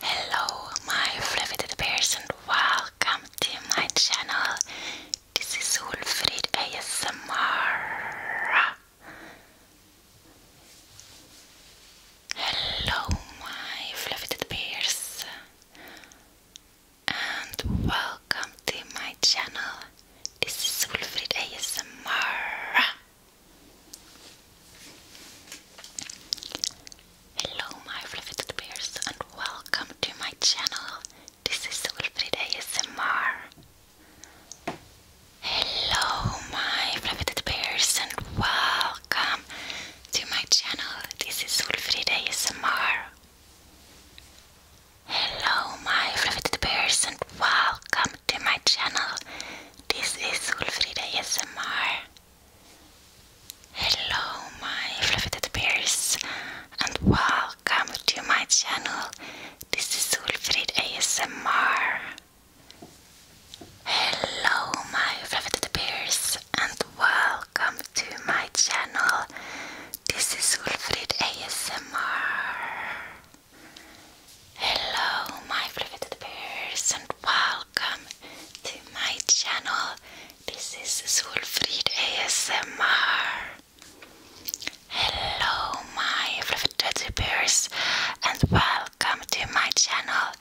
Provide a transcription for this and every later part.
Hello, my fluffy little welcome to my channel. This is Ulfrid ASMR. Hello, my fluffy little and welcome to my channel. This is Wolfried ASMR. Hello, my fluffy bears, and welcome to my channel. This is Wolfried ASMR. Hello, my fluffy bears, and welcome to my channel. This is Wolfried ASMR. Hello my beloved bears and welcome to my channel. This is Ulfrida ASMR. Hello my beloved bears and welcome to my channel. This is Ulfrid ASMR. Hello my fluffy bears and welcome to my channel. This is Wilfried ASMR. Hello, my fluffy bears, and welcome to my channel. This is Wilfried ASMR. Hello, my fluffy bears, and welcome to my channel.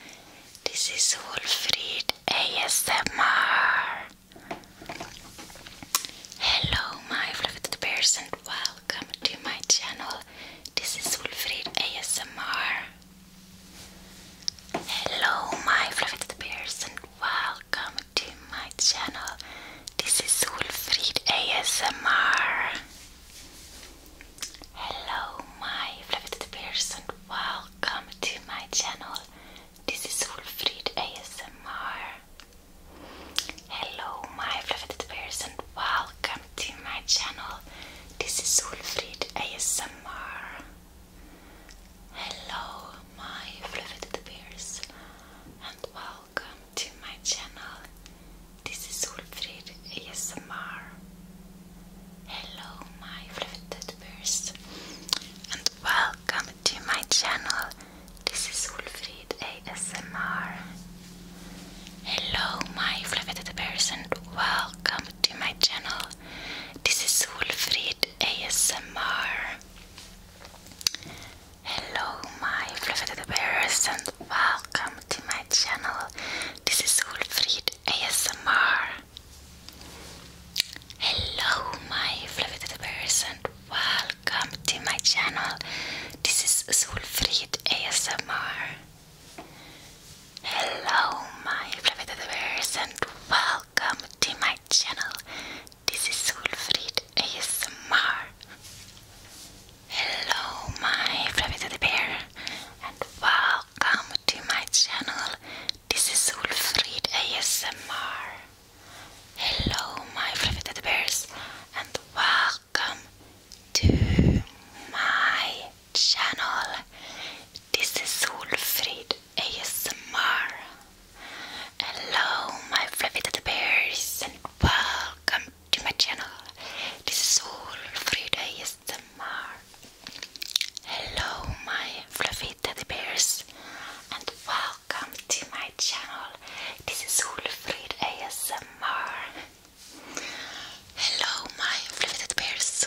This is Wilfried ASMR. Hello, my fluffy bears, and welcome to my channel. This is Wolfried ASMR. Hello, my fluffy bears, and welcome to my channel. This is Wolfried ASMR. Hello, my fluffy bears, and welcome to my channel. This is Wolfried ASMR. Hello, my fluffed bears, and welcome to my channel. This is Ulfrid ASMR. Hello, my fluffed bears, and welcome to my channel. This is Ulfried ASMR. Hello, my fluffed bears, and welcome to my channel. This is Ulfried Breed ASMR. Hello, my fluffy bears, and welcome to my channel. This is Wolfried ASMR. Hello, my fluffy bears, and welcome to my channel. This is Wolfried ASMR. Hello, my fluffy bears, and welcome welcome to my channel. This is Solfrid ASMR. Hello, my fluffy bears, and welcome to my channel. This is Solfrid ASMR. Hello, my fluffy bear, and welcome to my channel. This is Solfrid ASMR. Hello, my fluffy teddy bears, and welcome to my channel. This is Wolfried ASMR. Hello, my fluffy teddy bears, and welcome to my channel. This is Wolfried ASMR. Hello, my fluffy teddy bears, and welcome welcome to my channel. This is Ulfrid ASMR. Hello, my fliveted bears,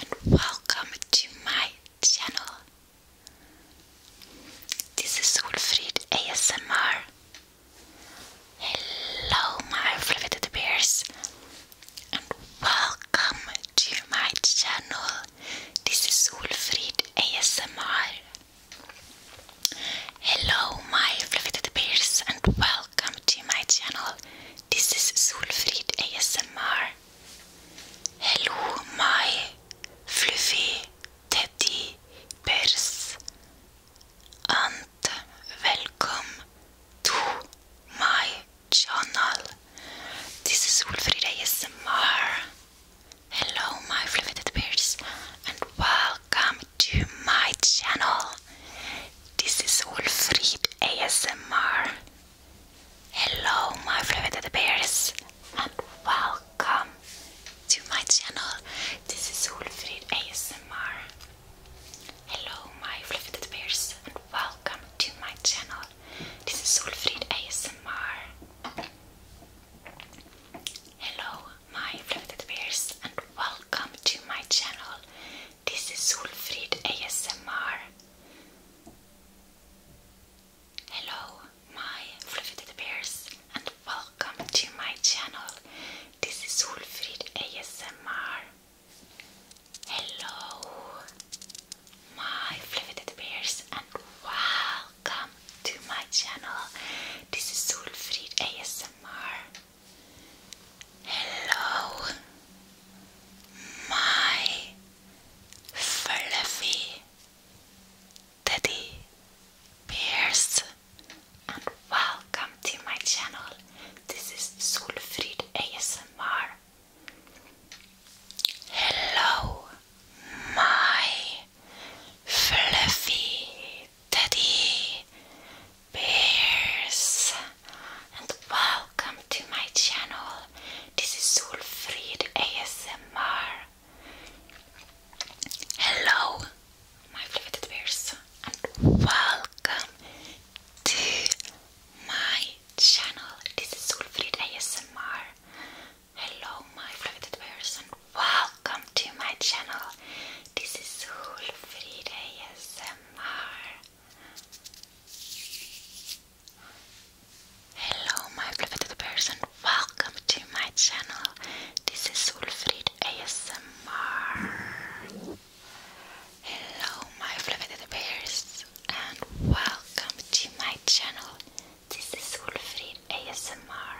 and welcome to my channel. This is Ulfrid ASMR. Hello, my fliveted bears, and welcome to my channel. This is Ulfrid ASMR. Hello, my fluffy bears, and welcome to my channel. This is Solfrid ASMR. Hello, my fluffy teddy bears, and welcome to my channel. This is Solfrid ASMR. Hello, my fluted bears, and welcome to my channel. This is Wolfried ASMR. Hello, my fluted bears, and welcome to my channel. This is Wolfried ASMR. Hello, my fluted bears, and welcome to my channel. This is Wolfried ASMR. Hello my floated bears and welcome to my channel. This is Solfrid ASMR. Hello my floated bears and welcome to my channel. This is Solfrid ASMR. Hello my floated bears and wow welcome to my channel. This is Sulfried ASMR. Hello, my fluffy teddy bears, and welcome to my channel. This is Sulfried ASMR. Hello, my fluffy teddy bears and welcome to my channel. This is Zulfried ASMR. Hello, my fluffy teddy bears, and welcome to my channel. This is Zulfried ASMR. Hello my affected bears and welcome to my channel. This is Hulfrida ASMR. Hello my affected bears welcome to my channel. This is Hulfrida ASMR. Hello my affected bears and welcome to my channel. This is Wolfried ASMR.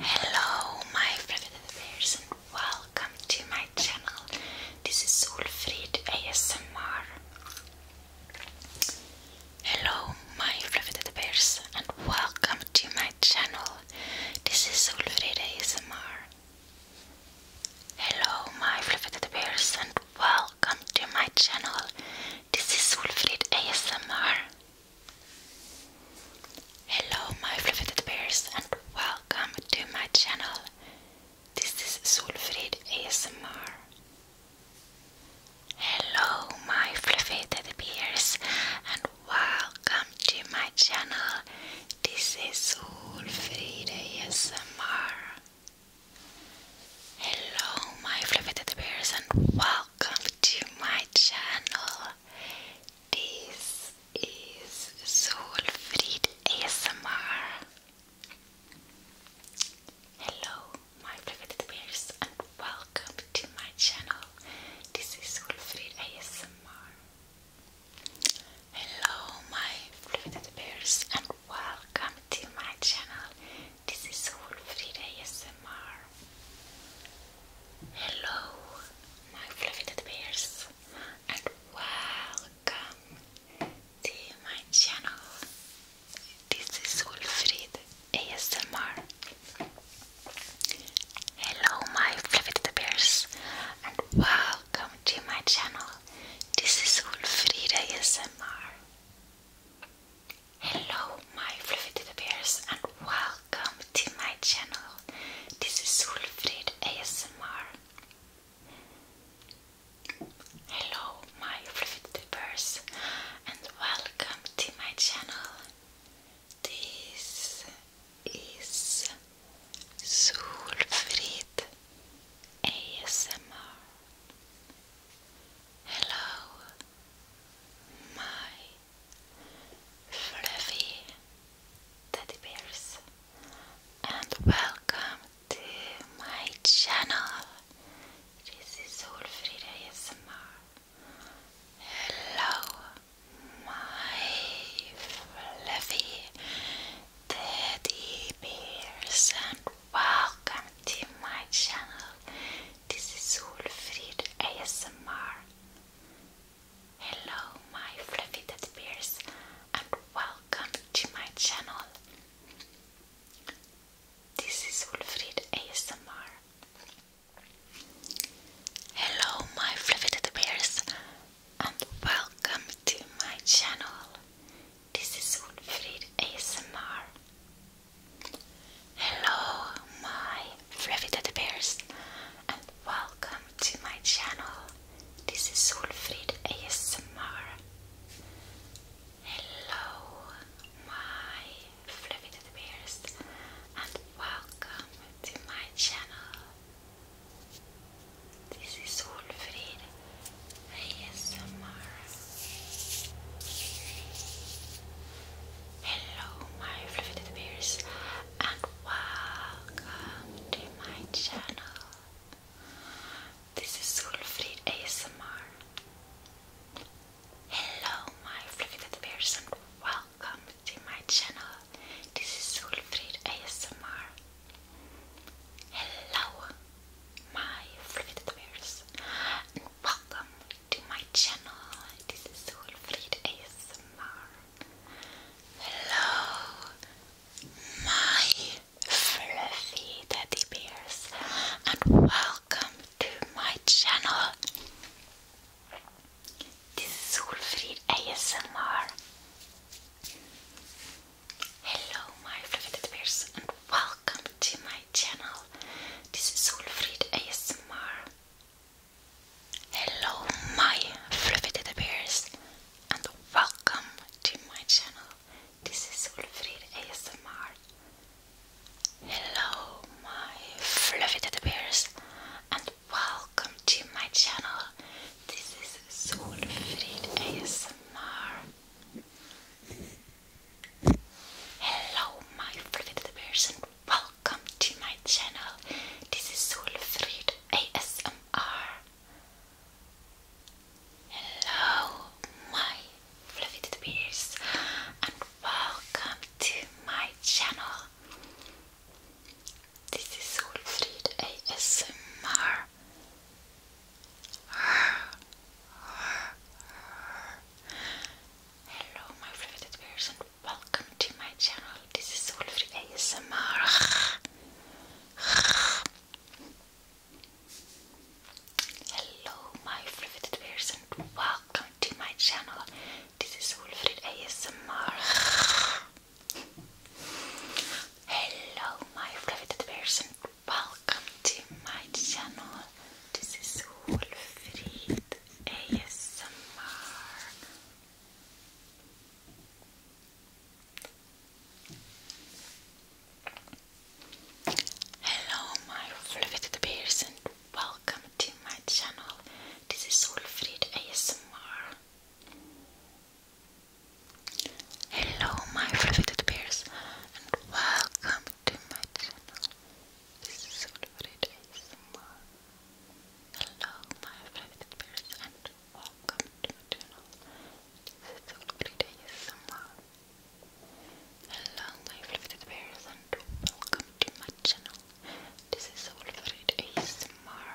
Hello, my private bears, and welcome to my channel. This is Wolfried ASMR. Hello, my private bears, and welcome to my channel. This is Wolfried ASMR. Hello, my fluffy bears, and welcome to my channel. This is Wolfried ASMR. Hello my fluffed bears and welcome to my channel. This is Solfrid ASMR. Hello my fluffy teddy bears and welcome to my channel. This is Solfrid ASMR. Hello my fluffy teddy bears and welcome welcome to my channel. This is Solfried ASMR. Hello, my private bears, and welcome to my channel. This is Solfried ASMR. Hello, my private bears, and welcome to my channel. This is Wolfried ASMR. Hello, my fluffy teddy bears, and welcome to my channel. This is Wolfried ASMR. Hello, my fluffy teddy bears, and welcome to my channel. This is Wolfried ASMR. Hello, my fluffy teddy bears, and welcome to my channel. This is Solfrid ASMR. Hello, my fluffy teddy bears, and welcome to my channel. This is Solfrid ASMR. Hello, my fluffy teddy bears, and welcome to my channel. This is Ulfrida ASMR. Hello, my fluffy teddy bears, and welcome to my channel. This is Ulfrid ASMR. Hello, my fluffed teddy bears, and welcome to my channel. This is Ulfrid ASMR. Hello, my fluffy teddy bears, and welcome to my channel. This is Ulfrid ASMR. Hello, my Revited Bears, and welcome to my channel. This is Solfrid ASMR. Hello, my Fluffy Bears, and welcome to my channel. This is Solfrid ASMR. Hello my fluffy little bears and welcome to my channel. This is Solfrid ASMR. Hello my fluffy little and welcome to my channel. This is Solfrid ASMR. Hello my fluffy little bears Welcome to my channel. This is Wilfried ASMR. Hello, my fluffy teddy bears, and welcome to my channel. This is Wilfried ASMR. Hello, my fluffy teddy bears, and welcome to my channel. This is Wilfried ASMR. Hello my fluffy teddy bears and welcome to my channel. This is Fried ASMR. Hello my fluffy teddy bears and welcome to my channel. This is Fried ASMR. Hello my fluffy teddy bears and welcome to my channel. This is Solfried ASMR. Hello, my fluffy bears, and welcome to my channel. This is Solfried ASMR. Hello, my fluffy bears, Welcome to my channel. This is Ulfrid ASMR. Hello, my fluffed bears, welcome to my channel. This is Ulfrid ASMR. Hello, my fluffed bears, welcome to my channel. This is Wolfried ASMR. Hello, my fluffed bears, and welcome to my channel. This is Wolfried ASMR. Hello, my fluffed bears, and welcome to my channel. This is Wolfried ASMR. Hello, my favorite spirits, welcome to my channel. This is Ugly Days Summer. Hello, my favorite spirits, welcome to my channel. This is Wolverine ASMR.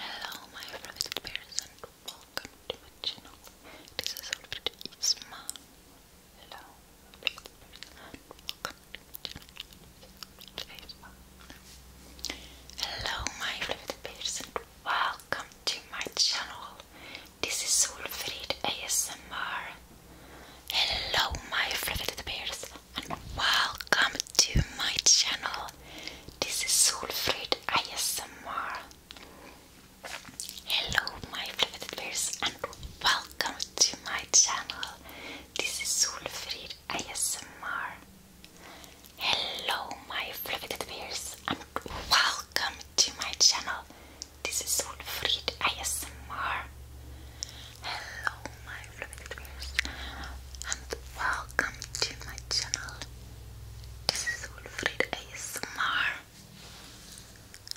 Hello, my favorite spirits, welcome to my channel. This is Wolverine ASMR. Hello. Hello my favorite person. Welcome to my channel. This is Solfrid ASMR. Hello my favorite person and welcome to my channel. This is Solfrid ASMR. Hello my favorite bears and welcome welcome to my channel. This is Sulfrid ASMR. Hello, my fluffy bears, and welcome to my channel. This is Sulfrid ASMR. Hello, my fluffy bears, and welcome to my channel. This is Sulfrid ASMR.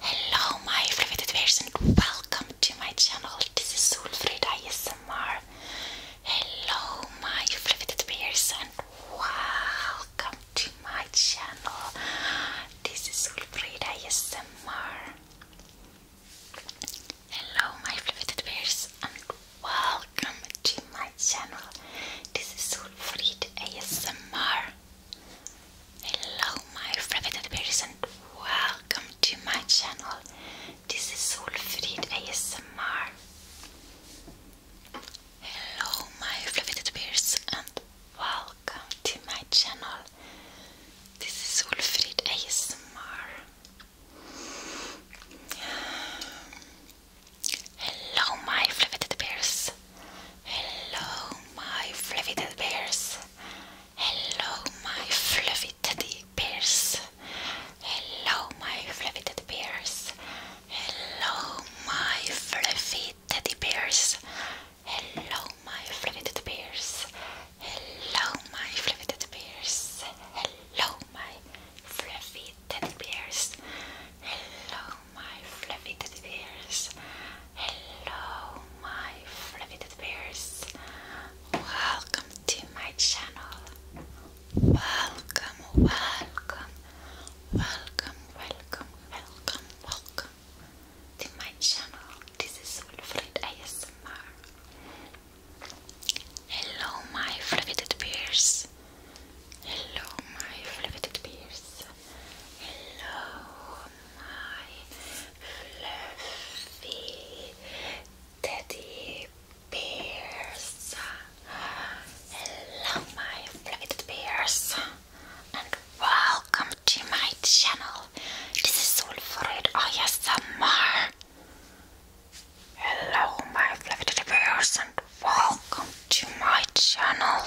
Hello my fluffy tedwares and welcome to my channel. This is Solfrid ASMR. Hello my fluffy tedwares and welcome to my channel. This is Solfrid ASMR. Hello my fluffy tedwares and welcome to my channel. This is Solfrid ASMR. Hello my flaveted bears and welcome to my channel. This is Solfrid ASMR. Hello my flaveted bears and welcome to my channel. This is Solfrid ASMR. Hello my flaveted bears. Hello my fluffy dead bears. Hello, my fluffy teddy bears. Hello, my fluffy teddy bears. Hello, my fluffy teddy bears. Hello, my fluffy teddy bears. Hello, my fluffy teddy bears. Hello, my fluffy teddy bears. Hello, my fluffy teddy bears. Hello, my fluffed bears. Welcome to my channel. Welcome, welcome, welcome, welcome, welcome, welcome to my channel. This is Wilfried ASMR. Hello, my fluffed bears. Hello, my fluffed bears. Hello, my fluffy teddy bears. Hello, my fluffy teddy bears, and welcome to my channel. This is Ulfrid ASMR. Hello, my fluffy teddy bears, and welcome to my channel.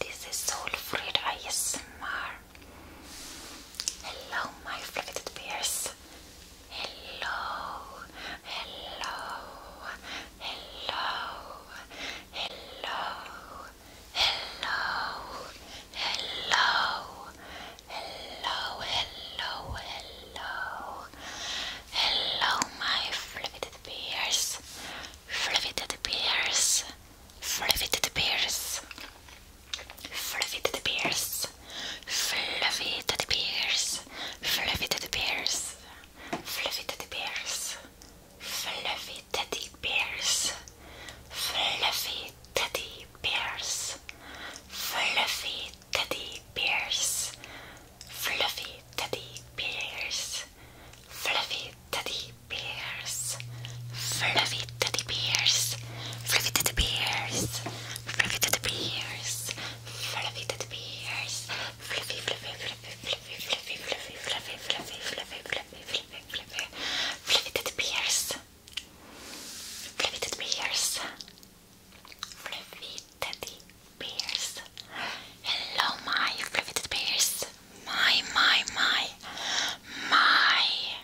This is Ulfrid ASMR. Hello, my fluffed peers. Hello, hello, hello, hello, hello, hello, hello, hello, hello, hello, my fluffed bears, fluffed bears, fluffed bears. Fluffy teddy bears, fluffy teddy bears, fluffy teddy bears, fluffy teddy bears, fluffy teddy bears, fluffy teddy bears, fluffy teddy bears, fluffy teddy bears, fluffy teddy bears, fluffy teddy bears, fluffy teddy bears, fluffy teddy bears, fluffy teddy bears, fluffy, fluffy, fluffy, fluffy, fluffy, fluffy, fluffy, fluffy, fluffy, fluffy, fluffy, fluffy, fluffy teddy bears, fluffy teddy bears, fluffy teddy bears. Hello, my fluffy teddy bears. My, my, my, my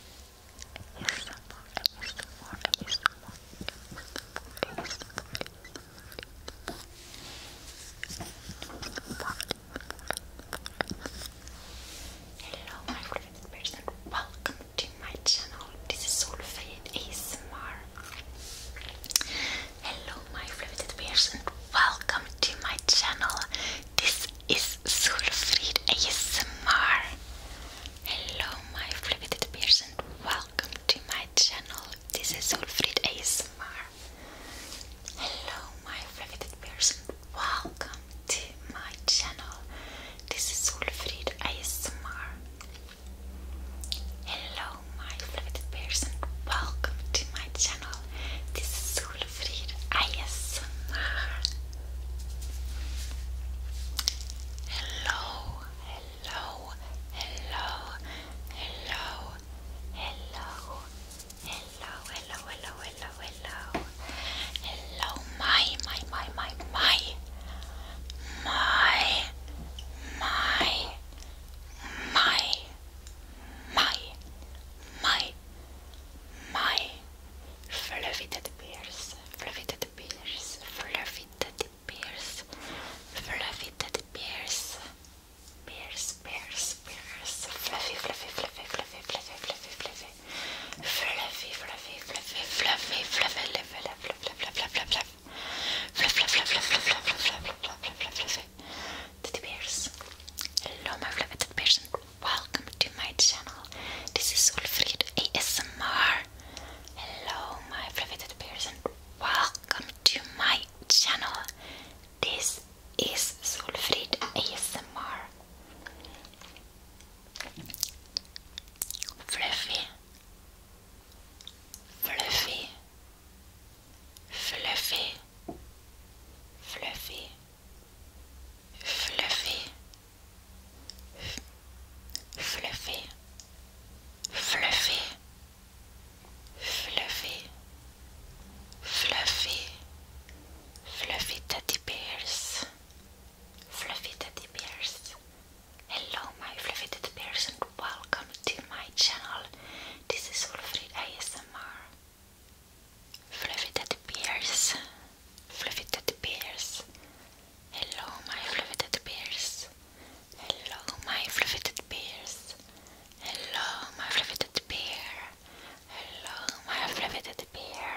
Hello my favorite person, welcome to my channel. This is Solveig ASMR. Hello my favorite person, welcome to my channel. This is Sulfried ASMR. Hello, my flippity person. Welcome to my channel. This is Sulfried ASMR. Hello, my flippity person. Welcome to my channel. This is Sulfried ASMR. Hello, my flippity person. Welcome to my channel. This is Soul Alfrid ASMR. Hello, hello, hello, hello, hello, hello, hello, hello, hello, my, my, my, my, my, my, my, my, my, my fluffy teddy bears, fluffy teddy bears, fluffy teddy bears, fluffy teddy bears, bears, bears, bears, fluffy, fluffy, fluffy, fluffy, fluffy, fluffy, fluffy, fluffy, fluffy, fluffy, fluffy, fluffy, fluffy, fluffy, fluffy, fluffy, Teddy bears. Hello, my fluffy teddy bears and welcome to my channel. This is Wilfried ASMR. Hello, my privated person. Welcome to my channel. This is Solfried ASMR. Fluffy, fluffy, fluffy, fluffy, fluffy, fluffy, fluffy, fluffy, fluffy, fluffy teddy bears, fluffy teddy bears. Hello, my fluffy teddy bears, and welcome to my channel. This is Wolfried ASMR. Fluffy Teddy Bears, Fluffy Teddy Bears. Hello, my Fluffy Teddy Bears. Hello, my Fluffy Teddy Bears. Hello, my Fluffy Teddy Bear. Hello, my Fluffy Teddy Bear.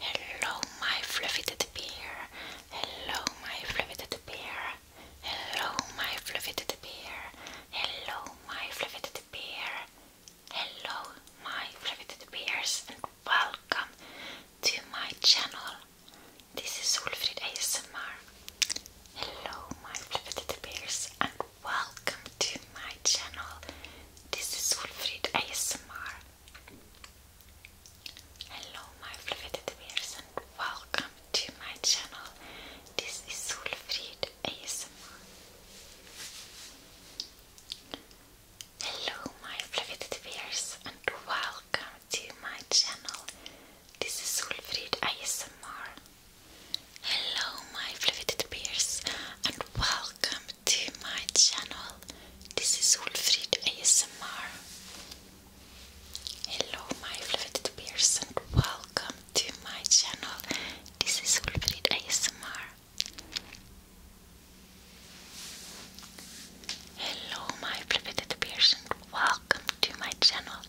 Hello, my Fluffy Teddy Bear. Hello, my Fluffy Teddy Bear. Hello, my Fluffy Teddy Bear. Hello, my Fluffy Teddy Bear. Hello, my fluffy bears, and welcome to my channel. This is Ulfrid ASMR. Hello, my fluffy bears, and welcome to my channel. This is Ulfrid ASMR. Hello, my fluffy bears, and welcome to my channel. This is Wolfried ASMR. Hello my fluffy peers, and welcome to my channel. This is Ulfrid ASMR. Hello my fluffy peers, and welcome to my channel. This is Ulfrid ASMR. Hello my fluffy bears and welcome to my channel. This is Solfrid ASMR. Hello my flippity person, welcome to my channel.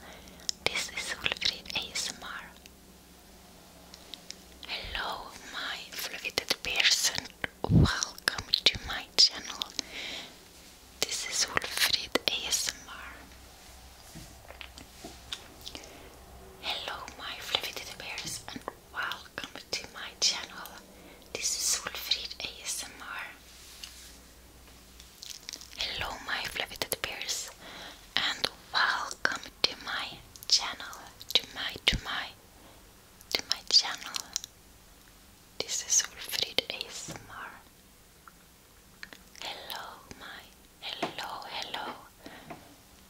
This is Wolfried ASMR. Hello my flippity person, welcome to my channel. This is Wolfried ASMR. Hello my flippity bears and Welcome to my channel. This is Wolfried ASMR. Hello, my fluffy teddy and welcome to my channel. To my, to my, to my channel. This is Wolfried ASMR. Hello, my, hello, hello,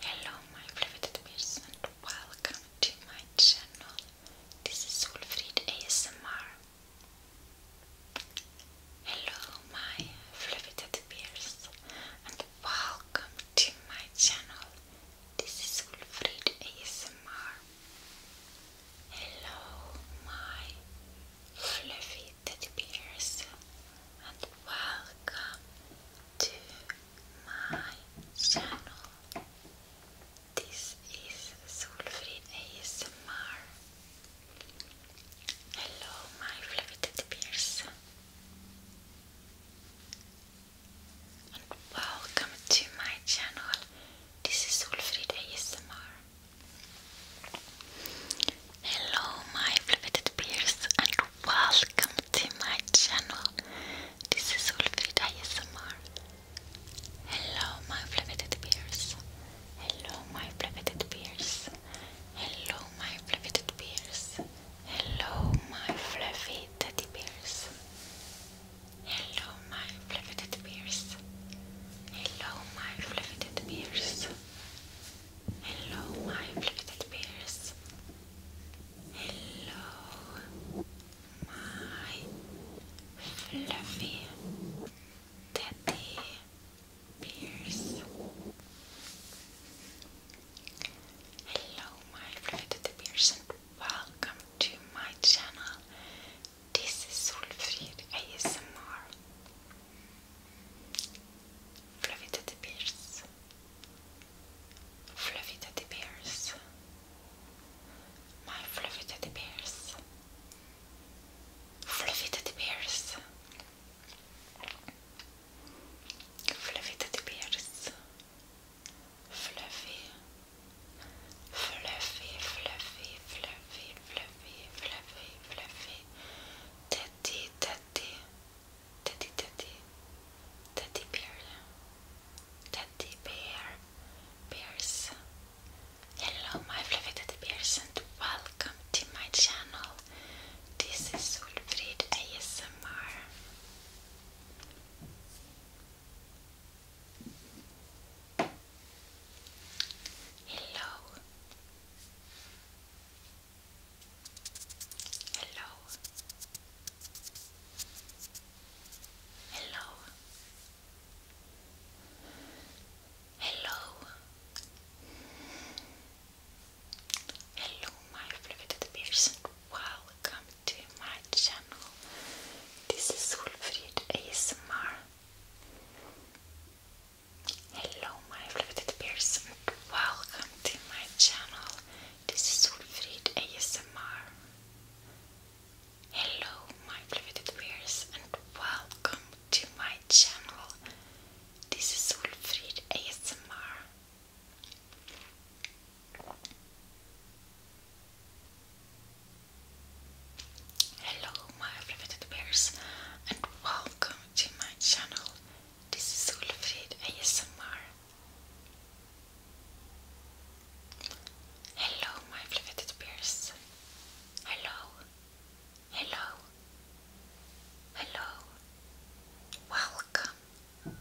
Hello my bears, and welcome to my channel. This is Wolfried ASMR. Hello my beloved bears and welcome to my channel. This is Wolfried ASMR. Hello my fluffy bears and welcome to my channel. This is Solfrid ASMR. Hello, my fluffy teddy and welcome to my channel. This is Solfrid ASMR. Hello, my fluffy bears, welcome to my channel. This is Ulfrida ASMR. Hello, my flaveted bears. Hello, my flaveted bears. Hello, my flaveted bears. Hello, my fluffy teddy bears. Hello, my fluffy teddy bears. Hello, my fluffy teddy bears. Hello, my fluffy teddy bears. Hello, my fluffy teddy bears. Hello, my fluffy teddy bears, welcome to my channel. This is Solfrid ASMR. Fluffy teddy bears. Fluffy teddy bears. My fluffy teddy bears. Fluffy teddy bears. Fluffy Fluffy, fluffy, fluffy, fluffy, fluffy, fluffy. Teddy, teddy. Teddy, teddy, teddy bear, teddy bear, bears. Hello, my fluffy teddy bears, and welcome to my channel. This is Solfrid ASMR. Hello. Hello. Hello. Hello. Hello my fluted bears welcome to my channel. This is Wolfried ASMR. Hello my fluted bears welcome to my channel. This is Solfrid ASMR. Hello, my beloved viewers, and welcome to my channel. This is Solfrid ASMR. Hello, my beloved viewers, and welcome to my channel. This is Solfrid ASMR. Hello, my fliveted peers. Hello. Hello. Hello. Welcome.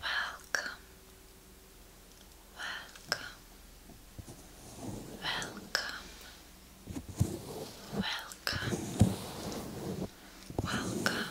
Welcome. Welcome. Welcome. Welcome.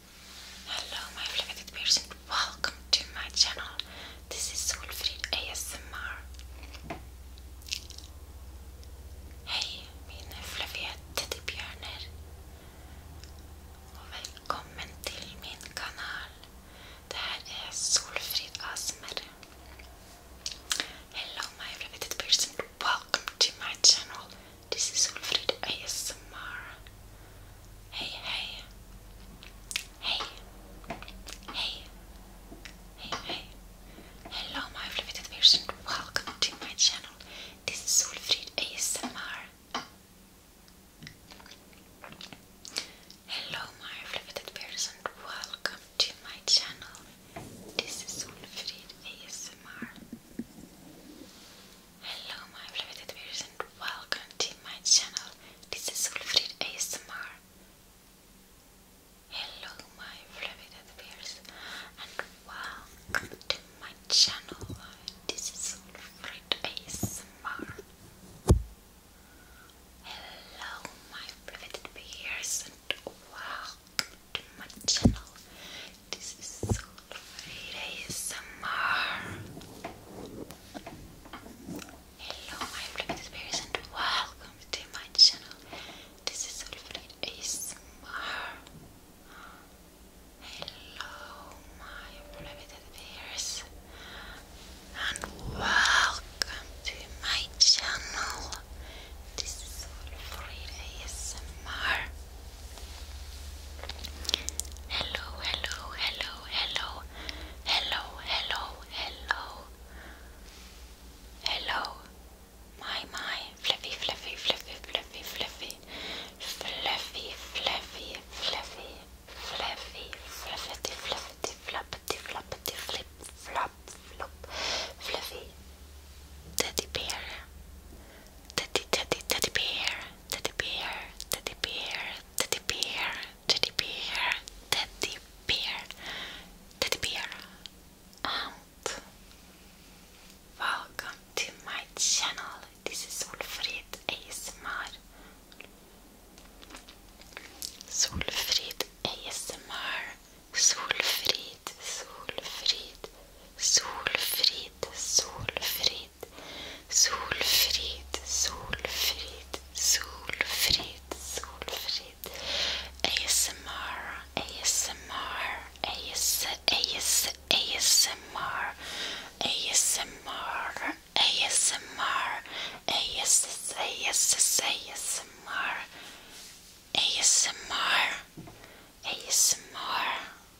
Hello my flaveted person, welcome to my channel. This is Wolfried ASMR. Hej mina flaviga teddybjörnar och välkommen min kanal. Det här är ASMR. Hello my flaveted person, welcome to my channel. This is Wilfred ASMR. Hey, hey. Hey. Hey. Hey, hey. Hello, my fliveted person. Welcome to my channel. This is Wilfred ASMR. Hello, my fliveted person. Welcome to my channel. This is Wilfred ASMR. Hello my beloved viewers and welcome to my channel. This is Ulfried ASMR. Hello my beloved viewers and welcome to my channel. This is Ulfried ASMR. Hello my beloved viewers and welcome to my channel. This is so great ASMR. Hello my practice bears and welcome to my channel. This is Solfrid ASMR. Hello my private bears and welcome to my channel. This is Solfrid ASMR. Hello, hello, hello, hello, hello, hello, hello, hello. My, my, fluffy, fluffy, fluffy, fluffy, fluffy, fluffy, fluffy, fluffy, fluffy, fluffy, fluffy, fluffy, fluffy, flip, flop, flop, fluffy. Teddy bear, teddy, teddy, teddy bear teddy bear, teddy bear, teddy bear, teddy bear, teddy bear, teddy bear, and welcome to my channel. This is Solfrid ASMR. Solfrid ASMR. Solfrid, Solfrid, Solfrid, Solfrid solfrid, solfrid, solfrid, solfrid, solfrid. ASMR, ASMR, AS, AS, ASMR, ASMR, ASMR, AS, AS, ASMR. ASMR ASMR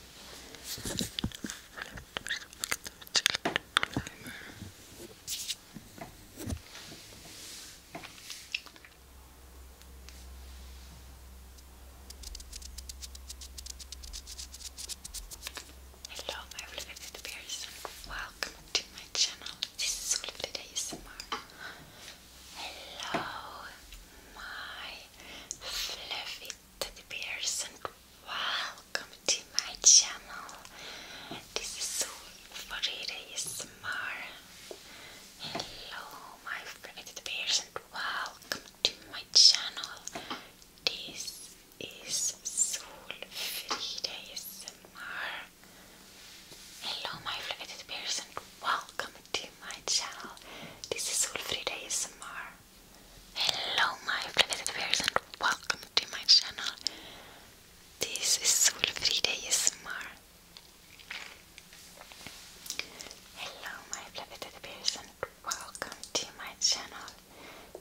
Hello, my bears. Welcome to my channel. This is Lovely ASMR. Hello, my fluffy teddy bears, and welcome to my channel. This is Farida Ismar. Hello, my fluffy teddy bears, and welcome to my channel. This is Solfrida ASMR. Hello, my fluffy bears, and Welcome to my channel. This is Ulfrida ASMR. Hello my flipped viewers and welcome to my channel. This is Ulfrida ASMR. Hello my flipped viewers and welcome to my channel.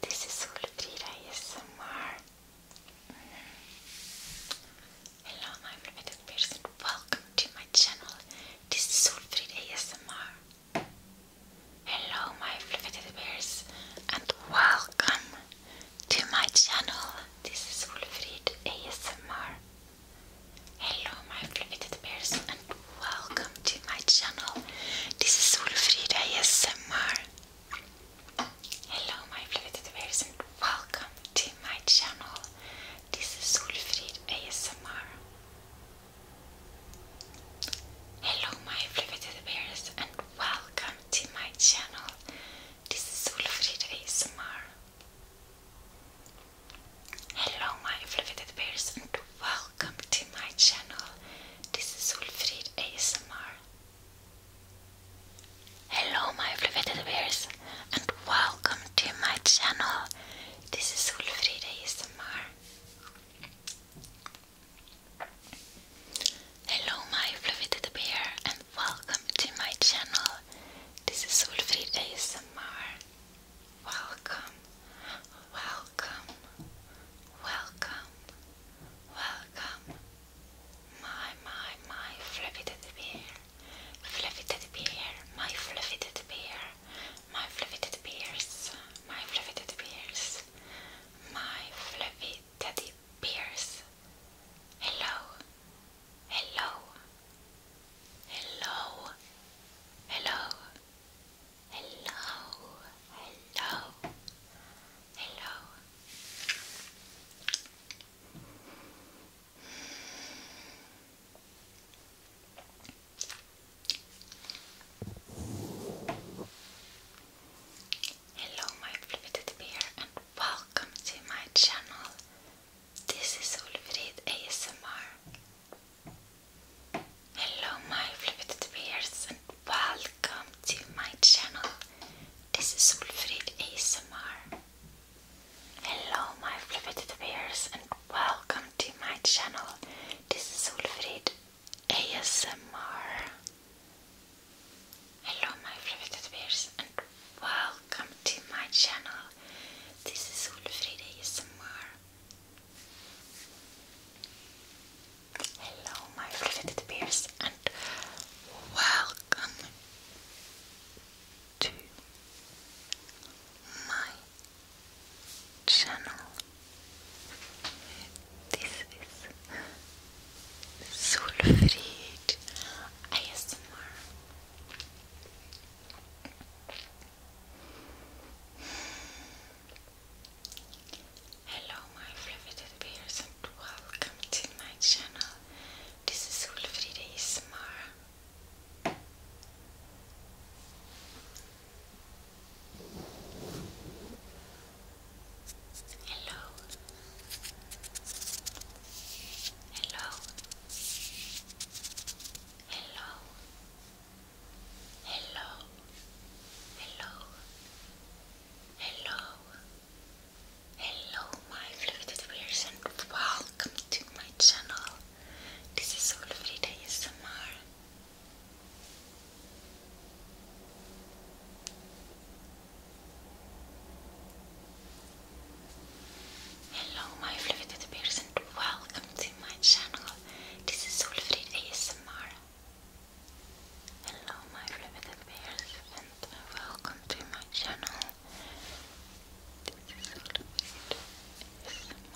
This is Ulfrida ASMR. Hello my flipped viewers and welcome to my channel. This is Solfrid ASMR. Hello, my fluffy bears, and welcome to my channel. This is Solfrid ASMR. Hello, my fluffy bears, and welcome to my channel. This is Solfrid ASMR. Hello, my fluffy bears, and welcome to my channel. This is Solfrid ASMR. Hello my fluffy bears and welcome to my channel. This is Ulfrid ASMR. Hello my fluffy bears and welcome to my channel. This is Solfrid ASMR. Hello my fluffy bears and welcome to my channel. This is Solfrid ASMR. Hello my fluffy teddy bear and welcome to my channel. This is Solfrid ASMR. Welcome, welcome, welcome, welcome. My, my, my fluffy bear. Fluffy teddy bear, my fluffy teddy bear my fluffy teddy bears, my fluffy teddy bears, my fluffy teddy bears. Hello, hello, hello, hello, hello, hello, hello. Hello my fliveted bear and welcome to my channel. This is Ulfrid ASMR. Hello my fliveted bears and welcome to my channel. This is Ulfrid ASMR. Hello my fliveted bears welcome to my channel. This is Ulfrid ASMR. Hello my fluffy bears and welcome to my channel. This is Ulfrid ASMR. Hello my fluffy bears and welcome to my channel. This is Sulfried ASMR. Hello, my fluffy bears, and welcome to my channel. This is Sulfried ASMR. Hello. Hello. Hello. Hello. Hello. Hello. Hello my fluted wears and welcome to my channel. This is Solfrida ASMR. Hello my fluffy teddy welcome to my channel. This is Solfrid ASMR. Hello my fluffy teddy welcome to my channel. This is Solfrid ASMR.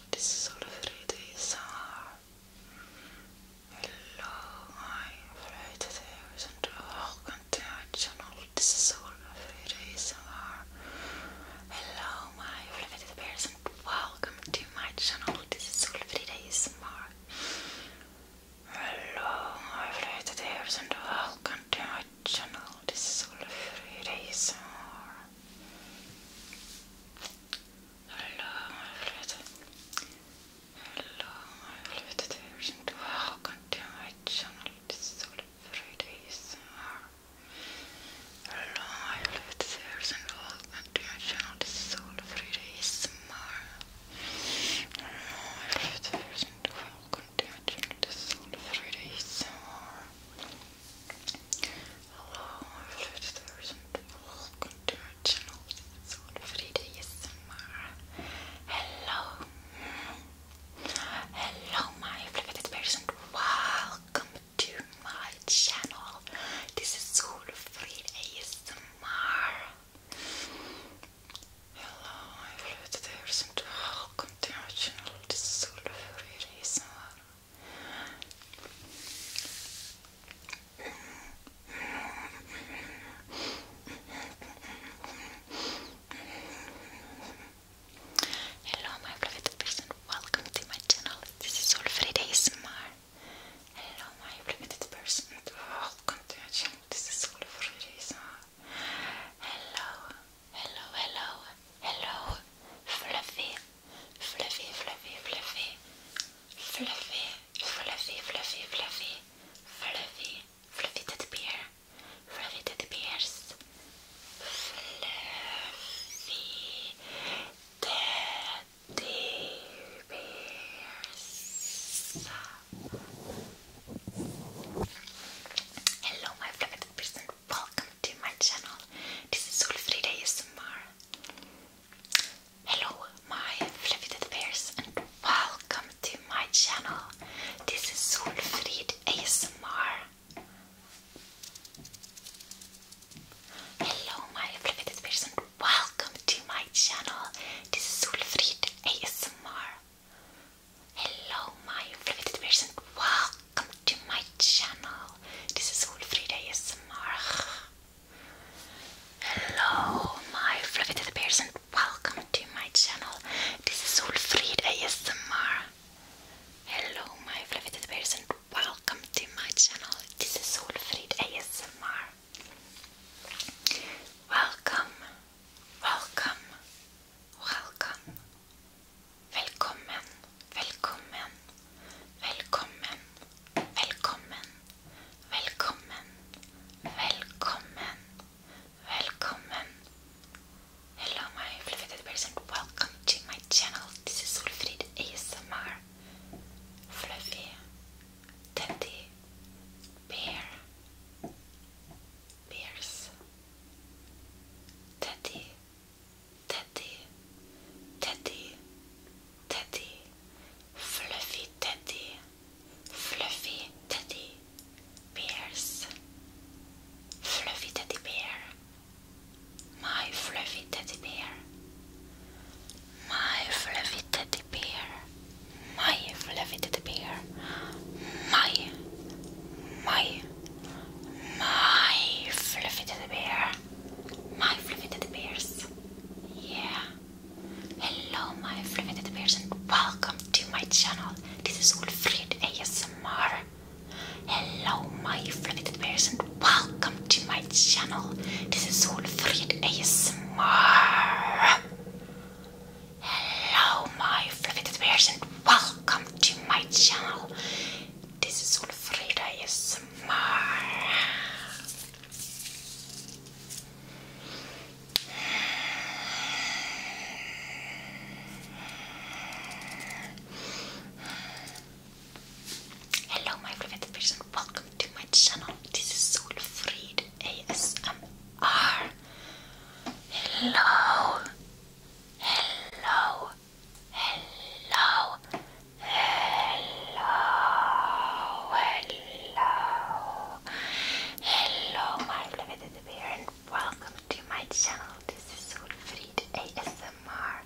this sort of fruit is sour. Hello, my fruit is and welcome to our channel. This sort of fruit is sour. Hello, my fruit bears and welcome to my channel. This is sort of fruit is sour. Hello, my fruit bears and welcome to my channel. This is sort of fruit is sour. Hello, my fluted. Hello, my fluted. This is my fluted. welcome to my channel. This is all Fridays. Hello, my fluted. This is my fluted. welcome to my channel. This is all Fridays. Hello, flitters and welcome to our channel. It's all Frida ASMR. Hello. Hello, my flipped person. Welcome to my channel. This is all Frida ASMR. Hello, my flipped person. Welcome to our channel. This is all Frida ASMR. Hello my private person, welcome to my channel. This is Alfreda Hello my private person, welcome to my channel. This is Alfreda Hello, hello, hello, hello, Fluffy fluffy, fluffy, fluffy, fluffy, fluffy, fluffy, fluffy, fluffy, fluffy fluffy teddy bears, fluffy teddy bears. Hello, my fluffy teddy bears, and welcome to my channel. This is Solfrida ASMR. Hello, my fluffy dead and welcome to my channel. This is Solfrid ASMR. Hello, my fluffy dead and welcome to my channel. This is Solfrid ASMR. Hello, my fluffy dead welcome to my channel. This is Wolfrida ASMR. Hello, my fluffy teddy welcome to my channel. This is Wolfrida ASMR. Hello, my fluffy teddy welcome to my channel. This is Wolfrida ASMR. Welcome, welcome, welcome, welcome velkommen, velkommen, velkommen, velkommen, velkommen, velkommen. Hello my fluffy teddy welcome to my channel. This is Ulfrid ASMR. Fluffy teddy bear bears teddy Teddy, Teddy, Teddy, Fluffy Teddy, Fluffy Teddy Bears, Fluffy Teddy Bear, my Fluffy Teddy Bear, my Fluffy Teddy Bear, my Fluffy Teddy Bear, my, my, my Fluffy Teddy Bear my fluffy teddy bears. Yeah. Hello, my fluffy teddy bears, and welcome to my channel. This is Wolfried ASMR. Hello, my fluffy teddy bears, and welcome to my channel. This is Wolfried ASMR. Hello, my fluffy bears, and welcome to my channel. This is Wolfried ASMR. Hello, my private person. Welcome to my channel. This is Soul ASMR. Hello, hello, hello, hello, hello, hello, my beloved bear, and welcome to my channel. This is Wilfried ASMR.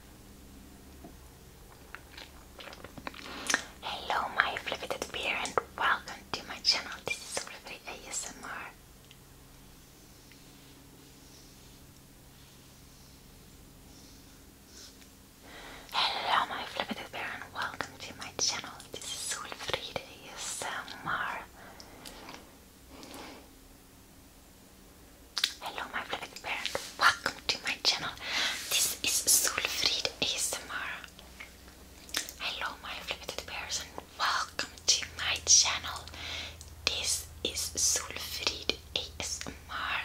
Hello, my beloved bear, and welcome to my channel. This is Wilfried ASMR. Hello my flippited bear and welcome to my channel. This is Solfrida ASMR. Hello my flippited bear welcome to my channel. This is Solfrida ASMR. Hello my flippited bears welcome to my channel. This is Solfrid ASMR.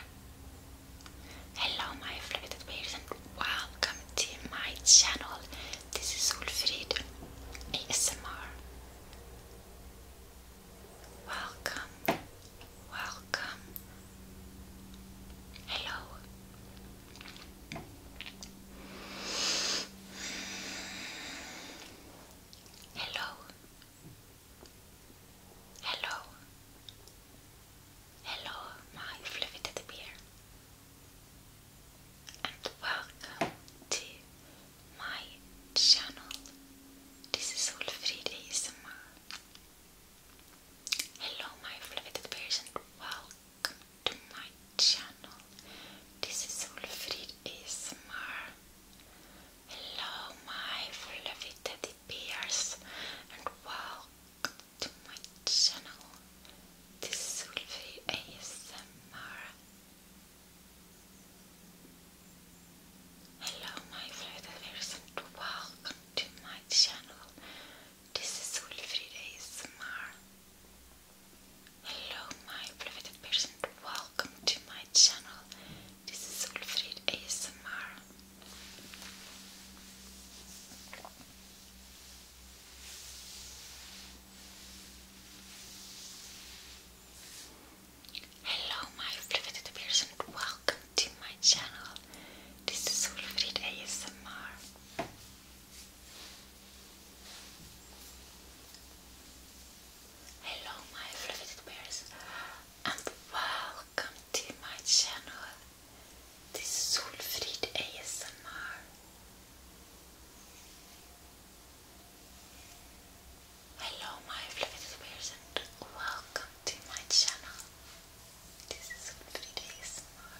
Hello my afflicted bears and welcome to my channel. This is Ulfrid ASMR. Welcome, welcome. Hello. Hello. Hello. Hello, my fluffy bear. And welcome to my channel. This is Ulfrid ASMR. Hello, my fluffy teddy welcome to my channel. This is Ulfrid ASMR. Hello, my fluffy teddy bears, and welcome to my channel. This will be ASMR. Hello, my fluffy bears, and welcome to my channel. This is Wilfried ASMR. Hello, my fluffy bears, and welcome to my channel. This is Ulfrid ASMR. Hello, my fliveted peers, and welcome to my channel. This is Ulfrid ASMR. Hello, my fluffy bears, and wow, welcome to my channel. This is Solfrid ASMR. Hello, my fluffy bears, and welcome to my channel. This is ASMR.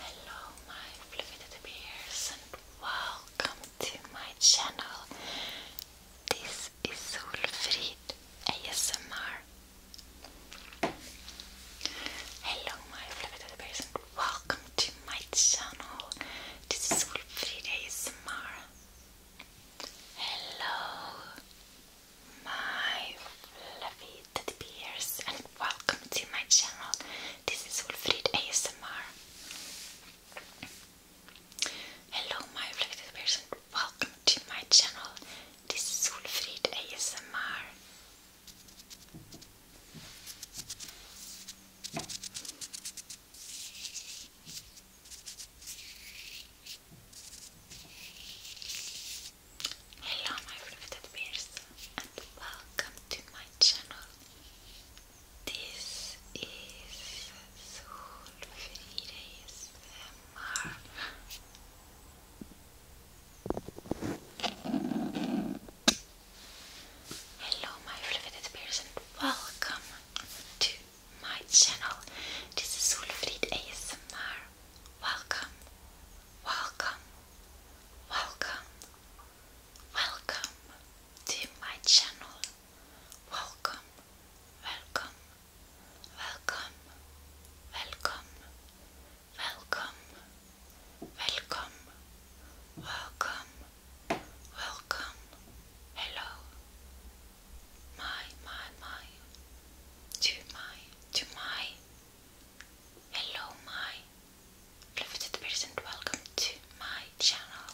Hello, my fluffy bears, and welcome to my channel. This is Solfrid ASMR. Hello, my fluffy bears, and welcome to my channel. This is Solfrid ASMR. Hello, my fluffy bears, and welcome to my channel. This is Wolfried ASMR. Hello my reflective person, welcome to my channel. This is Solfried ASMR. Hello my reflective person and welcome to my channel. This is Solfrides MR. Hello, my fluffed bears, and welcome to my channel. This is Solfrid ASMR. Welcome, welcome, welcome, welcome to my channel. Welcome, welcome, welcome, welcome, welcome, welcome, welcome, welcome, hello. My, my, my, to my, to my, hello, my, limited person, welcome to my channel.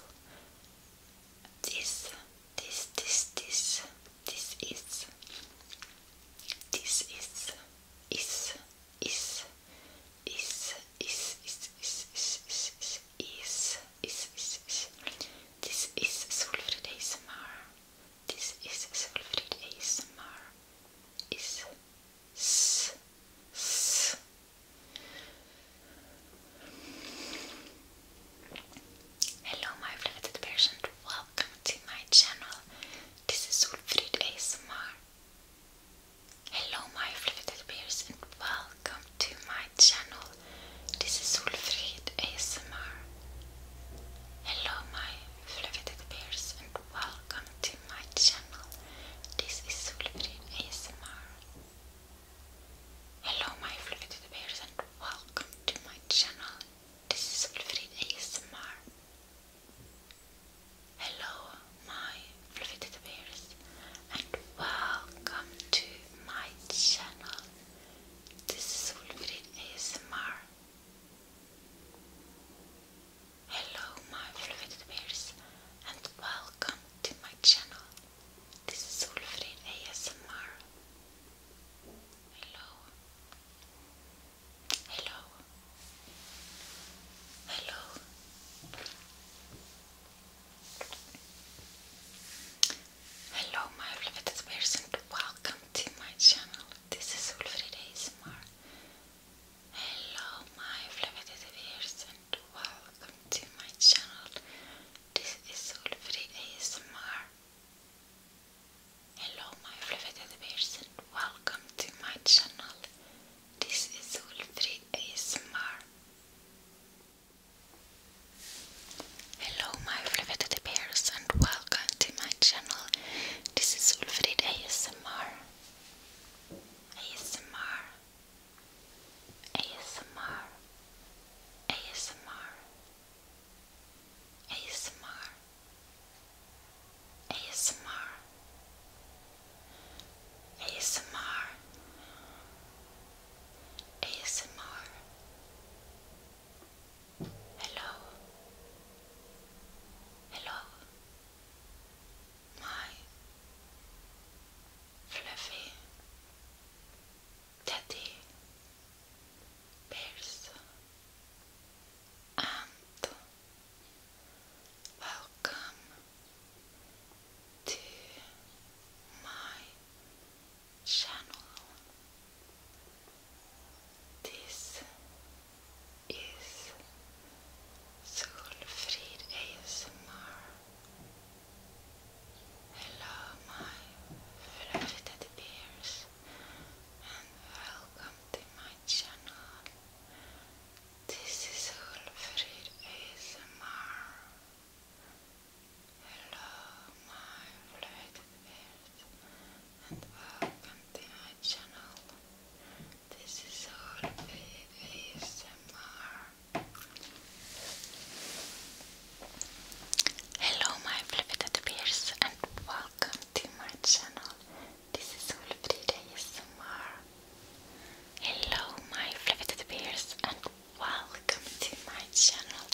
This this, this, this, this is, this is, is, is, is, is, is, is, is, is, is, is, is, is. This is Solfrid ASMR. This is Solfrid ASMR. Is, s, s, Hello my flatted patient, welcome to my channel. This is Ulfrid ASMR. Hello my flatted bears and welcome to my channel. This is Ulfrid ASMR. Hello my flatted bears and welcome to my channel. This is Ulfrid ASMR. Hello my fluffy bears and welcome to my channel. This is Fluffy ASMR. Hello my fluffy bears and welcome to my channel. This is Fluffy ASMR. Hello my fluffy bears and welcome to my channel. This is Solfrid ASMR. Hello. Hello. Hello. Hello my beloved person, welcome to my channel. This is Solfrid ASMR. Hello my beloved person, welcome to my channel. This is Solfri ASMR. Hello my fluffy bears and welcome to my channel. This is Solfri ASMR. Hello my fluffy bears and welcome to my channel. This is Ulfrid ASMR. ASMR ASMR ASMR ASMR ASMR ASMR ASMR Hello Hello my fluffy teddy bears and welcome to my channel. This is Solfrid ASMR Hello, my fluffy teddy and welcome to my channel. This is Ulfrid ASMR. Hello, my fluffy teddy and welcome to my channel. This is Ulfrid ASMR. Hello my fluffy teddy bears and welcome to my channel. This is Wilfrida ASMR. Hello my fluffy teddy bears and welcome to my channel.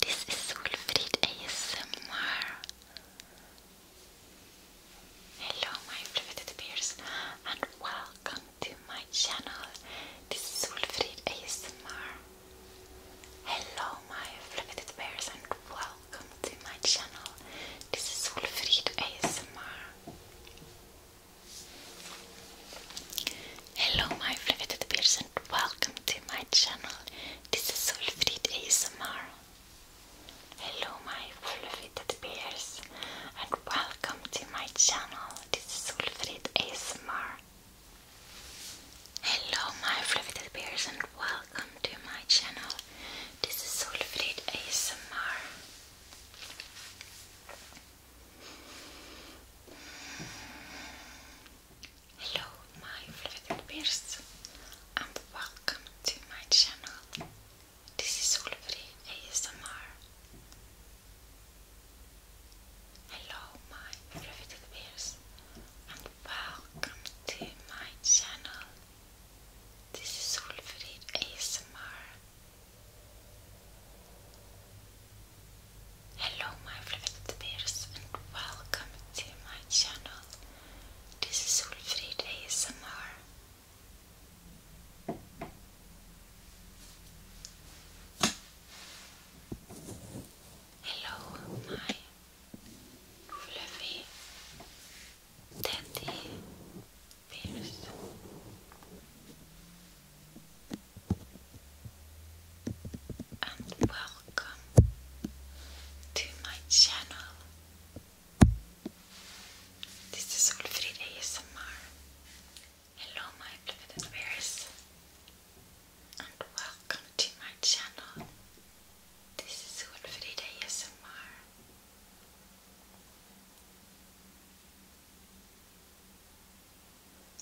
This is Wilfried ASMR. Hello my fluffy teddy and welcome to my channel. This is Wilfried ASMR. Hello my fluffed bears and welcome to my channel. This is Wolfried ASMR. Hello my fluffed bears and welcome to my channel. This is Wolfried ASMR. Hello my fluffed bears and welcome to my channel. This is Wolfried ASMR. Hello my fluffy bears and welcome to my channel. This is Soulfleet ASMR. Hello my fluffy bears and welcome to my channel. This is Solfrid ASMR. Hello my riveted ears and welcome to my channel. This is Ulfrid ASMR. Hello my riveted ears and welcome to my channel. This is Ulfrid ASMR. Hello, my fluffy teddy bears. And welcome to my channel. This is Solfrid ASMR. Hello my flippity bears and welcome to my channel. This is Ulfrid ASMR.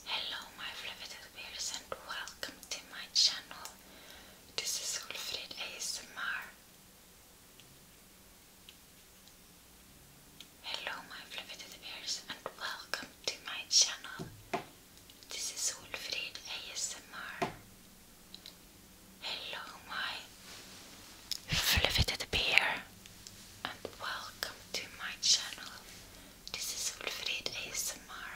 Hello my flippity bears and welcome to my channel. This is Wolfrida ASMR. Hello my beloved bears and welcome to my channel. This is Olafried ASMR. Hello, my fluffy bear, and welcome to my channel. This is Wolfried ASMR.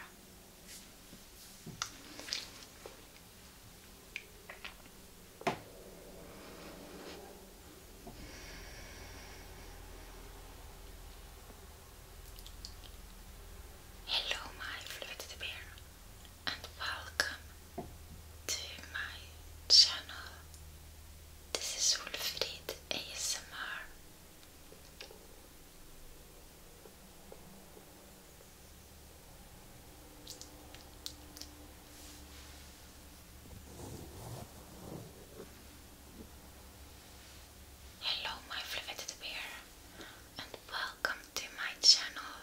Hello, my fluted bear, and welcome to my channel. This is Wolfried ASMR. Hello my fliveted bear and welcome to my channel.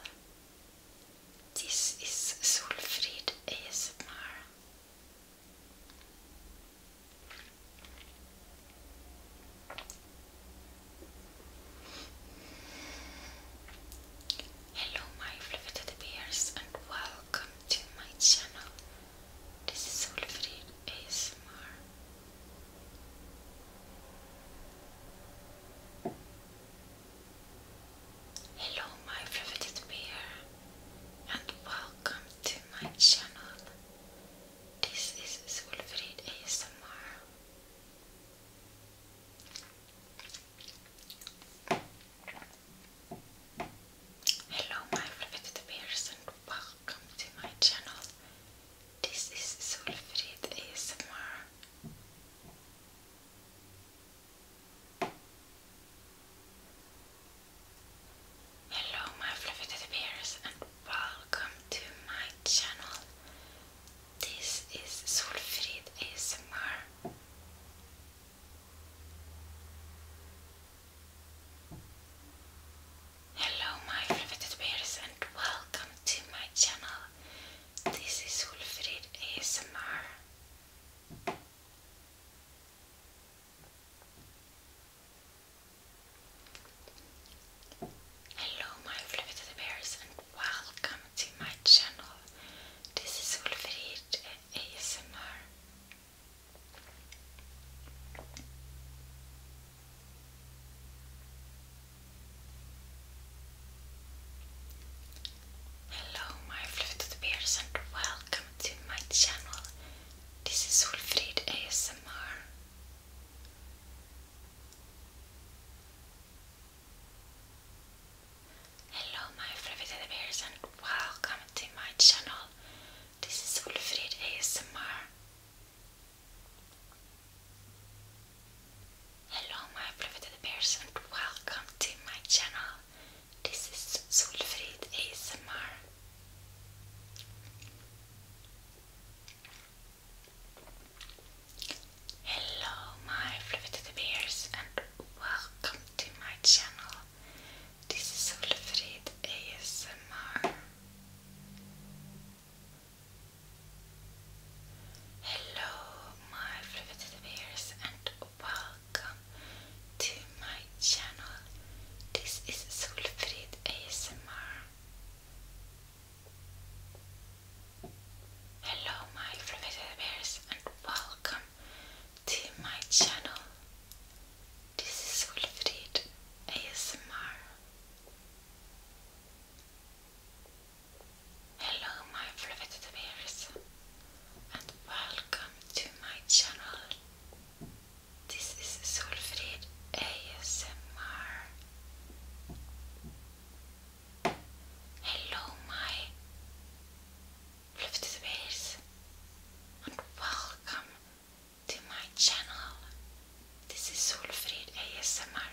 This is Solfrid Esmer. Hello my fliveted bears and welcome to my channel. This is Solfrid ASMR. Hello, my privated bear, and welcome to my channel. This is Solfrid ASMR. Hello my fluffed bears and welcome to my channel. This is Solfrid ASMR. Hello my fluffed bears and welcome to my channel. This is Solfrid ASMR. Hello my favorite bears and welcome to my channel. This is Wolfried ASMR. Hello my riveted bears and welcome to my channel. This is Wolfried ASMR. Hello my fluted bears and welcome to my channel. This is Wolfried ASMR. Hello my fluted bears and welcome to my channel. This is Ulfrid ASMR. Hello my beloved bears and welcome to my channel. This is Solfrid ASMR. Hello my beloved bears and welcome to my channel. This is Solfrid ASMR. Hello, my fluffy bears, and welcome to my channel. This is Solfrid ASMR. Hello, my fluffy bears, and welcome to my channel. This is Solfred ASMR. Hello, my fluffed bears, and welcome to my channel. This is Solfrid ASMR. Hello, my fluffed bears, and welcome to my channel. This is Ulfrid ASMR.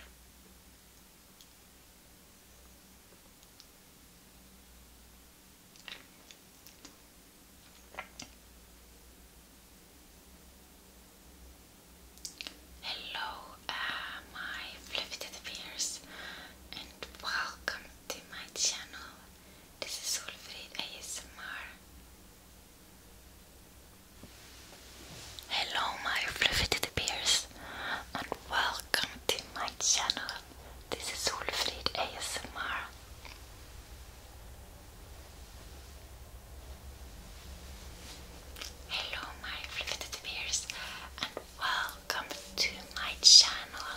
Hello, uh, my fluffy teddy and welcome to my channel. This is Solfrid ASMR. Hello my fluffy bears and welcome to my channel. This is Ulfrid ASMR. Hello my fluffy bears and welcome to my channel.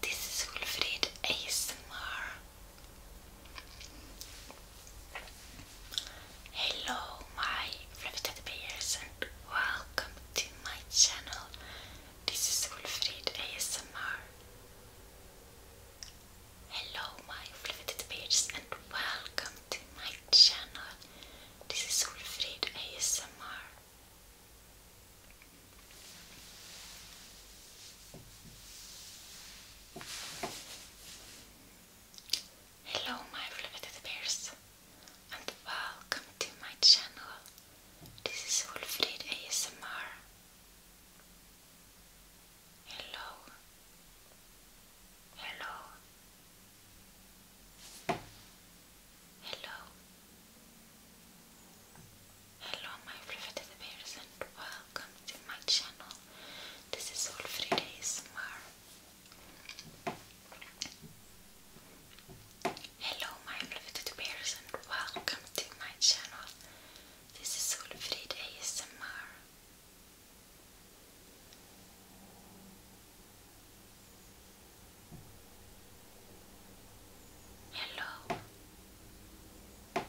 This is Ulfrid ASMR. Hello my fluffy bears and welcome to my channel. This is Wilfried ASMR. Hello my fluffy bears and welcome to my channel. This is Wilfried ASMR. Hello my fluffed bears and welcome to my channel. This is Wolfried ASMR. Hello. Hello. Hello. Hello my fluffed bears and welcome to my channel this is Alfred ASMR. Hello my beloved bears and welcome to my channel. This is Alfred ASMR. Hello, my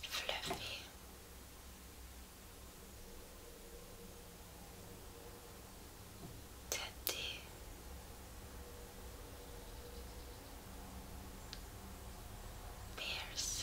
fluffy teddy bears.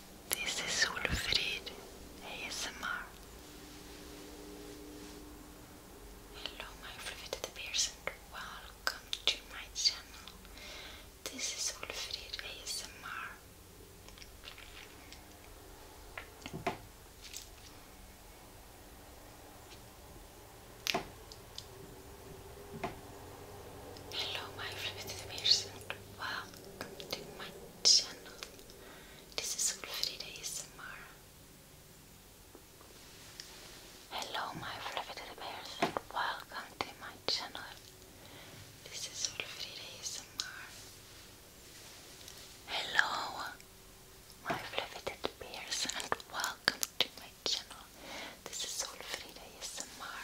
This is Olafried ASMR. Hello my Ulfrid the welcome to my channel. This is Ulfrid ASMR. Hello my Ulfrid the welcome to my channel. This is Ulfrida ASMR. Hello my fluffy little bears and welcome to my channel. This is Ulfrida ASMR. Hello my fluffy little bears and welcome to my channel. This is Ulfrida ASMR.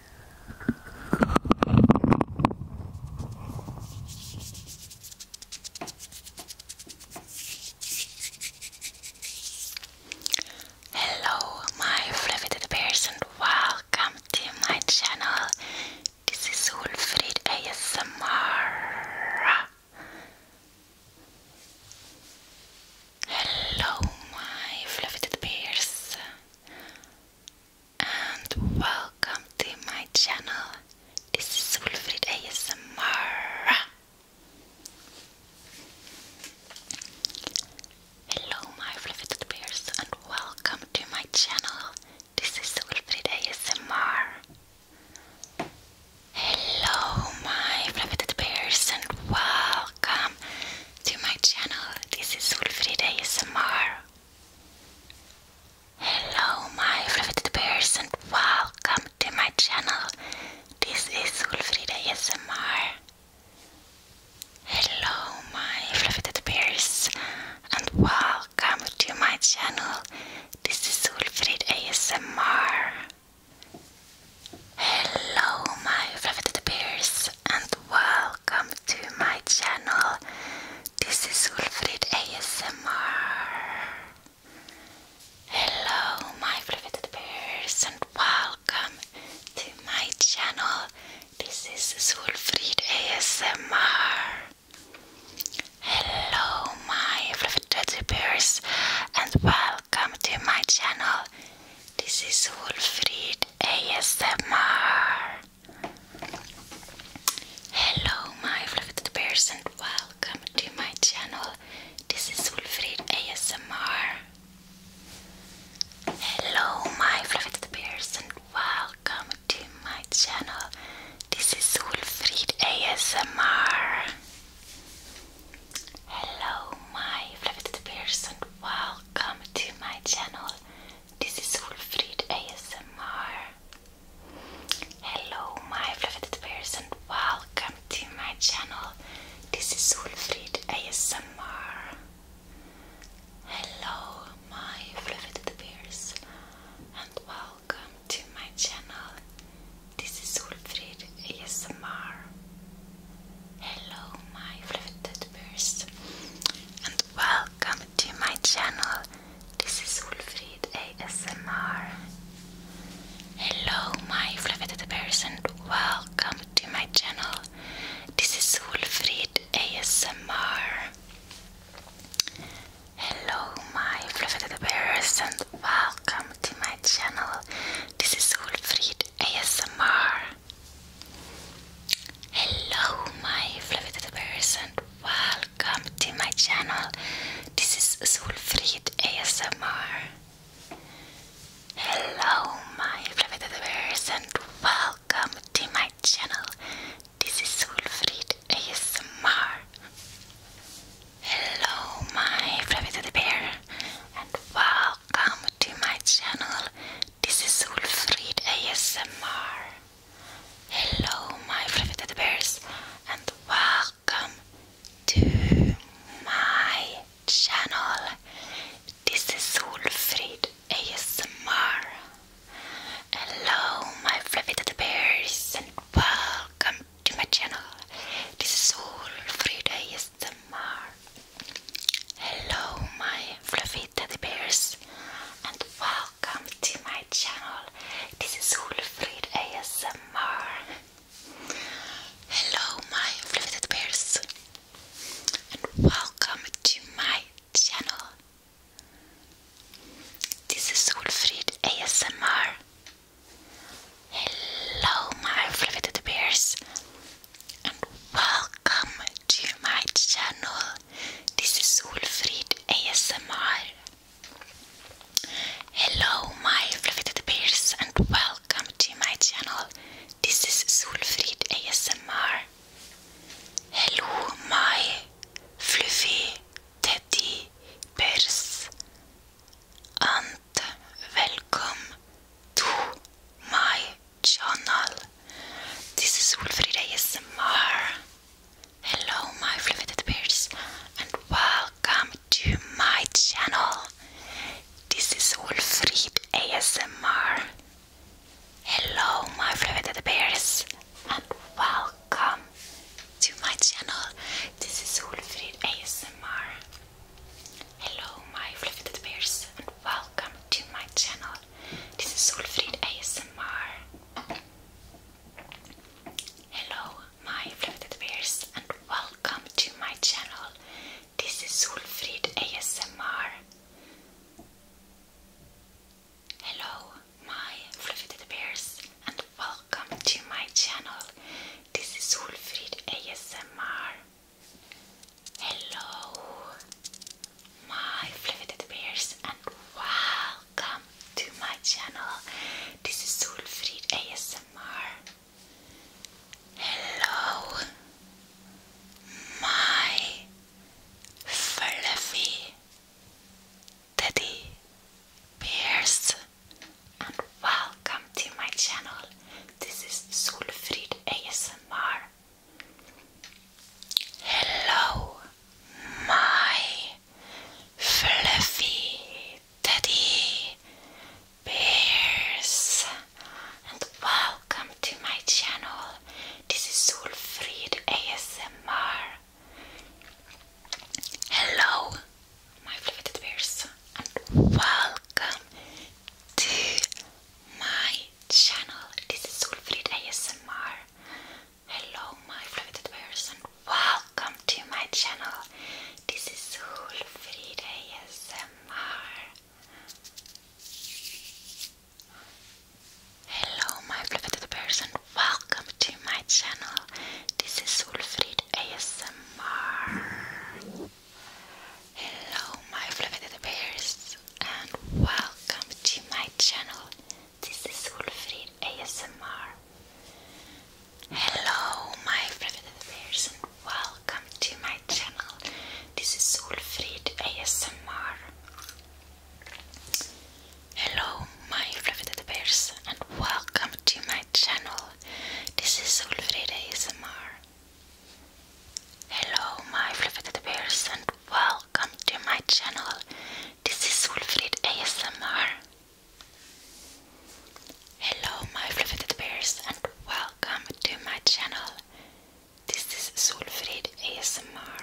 Hello, my fluffy bears, and welcome to my channel. This is Ulfried ASMR. Hello, my fluffy bears and welcome to my channel. This is Wolfried ASMR. Hello, my fluffy bears, and welcome to my channel. This is Wolfried ASMR. Hello, my fluffy bears, and welcome to my channel. This is Wolfried ASMR. Hello my fluffy bears and welcome to my channel. This is Ulfrida ASMR. Hello my fluffy bears and welcome to my channel. This is Ulfrid ASMR. Hello my fluffy bears and welcome welcome to my channel. This is Ulfrid ASMR. Hello, my fluffy bears, and welcome to my channel. This is Ulfrid ASMR. Hello, my fluffy bears, and welcome to my channel. This is Ulfrid ASMR. Hello, my fluffy bears, welcome to my channel. This is Wolfried ASMR. Hello, my fluffy bears, welcome to my channel. This is Wolfried ASMR. Hello, my fluffy bears, welcome to my channel. This is Wolfried ASMR. Hello, my fluffy bears, and welcome to my channel. This is Wolfried ASMR. Hello, my fluffy bears, and welcome to my channel. This is Wolfried ASMR. Hello, my fluffy bears, and welcome to my channel. This is Ulfrid ASMR. Hello, my fluffy teddy welcome to my channel. This is Ulfrid ASMR. Hello, my fluffy teddy welcome to my channel. This is Ulfrid ASMR. Hello, my fluffy teddy bears, and welcome to my channel. This is Solfrid ASMR. Hello, my fluffy teddy and welcome to my channel. This is Solfrid ASMR. Hello, my fluffy bear, and welcome to my channel. This is Ulfrid ASMR. Hello, my fluffy teddy bears, and welcome to my channel. This is Ulfrid ASMR. Hello, my fluffy teddy bears, and welcome to my channel. This is Ulfrid ASMR. Hello, my fluffy teddy bears and welcome to my channel. This is Ulfrid ASMR. Hello, my fliveted bears, and welcome to my channel. This is Ulfrid ASMR. Hello, my fliveted bears, and welcome to my channel. This is Solfrid ASMR. Hello, my fluffy bears, and welcome to my channel. This is Solfrid ASMR. Hello, my fluffy teddy bears, and welcome to my channel. This is Solfrid ASMR. Hello, my fluted bears, and welcome to my channel. This is Wolfried ASMR. Hello, my fluted bears, and welcome to my channel. This is Wolfried ASMR. Hello, my fluted bears, and welcome to my channel. This is Wolfried ASMR. Hello, my floated bears, and welcome to my channel. This is Solfrid ASMR. Hello, my fluffy bears, and welcome to my channel. This is Solfrid ASMR. Hello, my fliveted bears and welcome to my channel. This is Solfrid ASMR. Hello, my fluffy teddy bears and welcome to my channel. This is Solfrid ASMR. Hello, my fluffy teddy bears, and welcome to my channel. This is Sulfried ASMR. Hello, my fluffy teddy bears, and welcome to my channel. This is Sulfried ASMR. Hello my fluted person, welcome to my channel. This is Hulfrid ASMR. Hello my fluted person, welcome to my channel. This is Hulfrid ASMR. Hello my fluted bears and welcome to my channel. This is Ulfrid ASMR. Hello, my private bears, and welcome to my channel. This is Ulfrid ASMR. Hello, my private bears, welcome to my channel. This is Ulfrid ASMR. Hello, my fluffy bears, and welcome to my channel. This is Wolfrid ASMR. Hello, my fluffy bears, and welcome to my channel. This is Solfrid ASMR.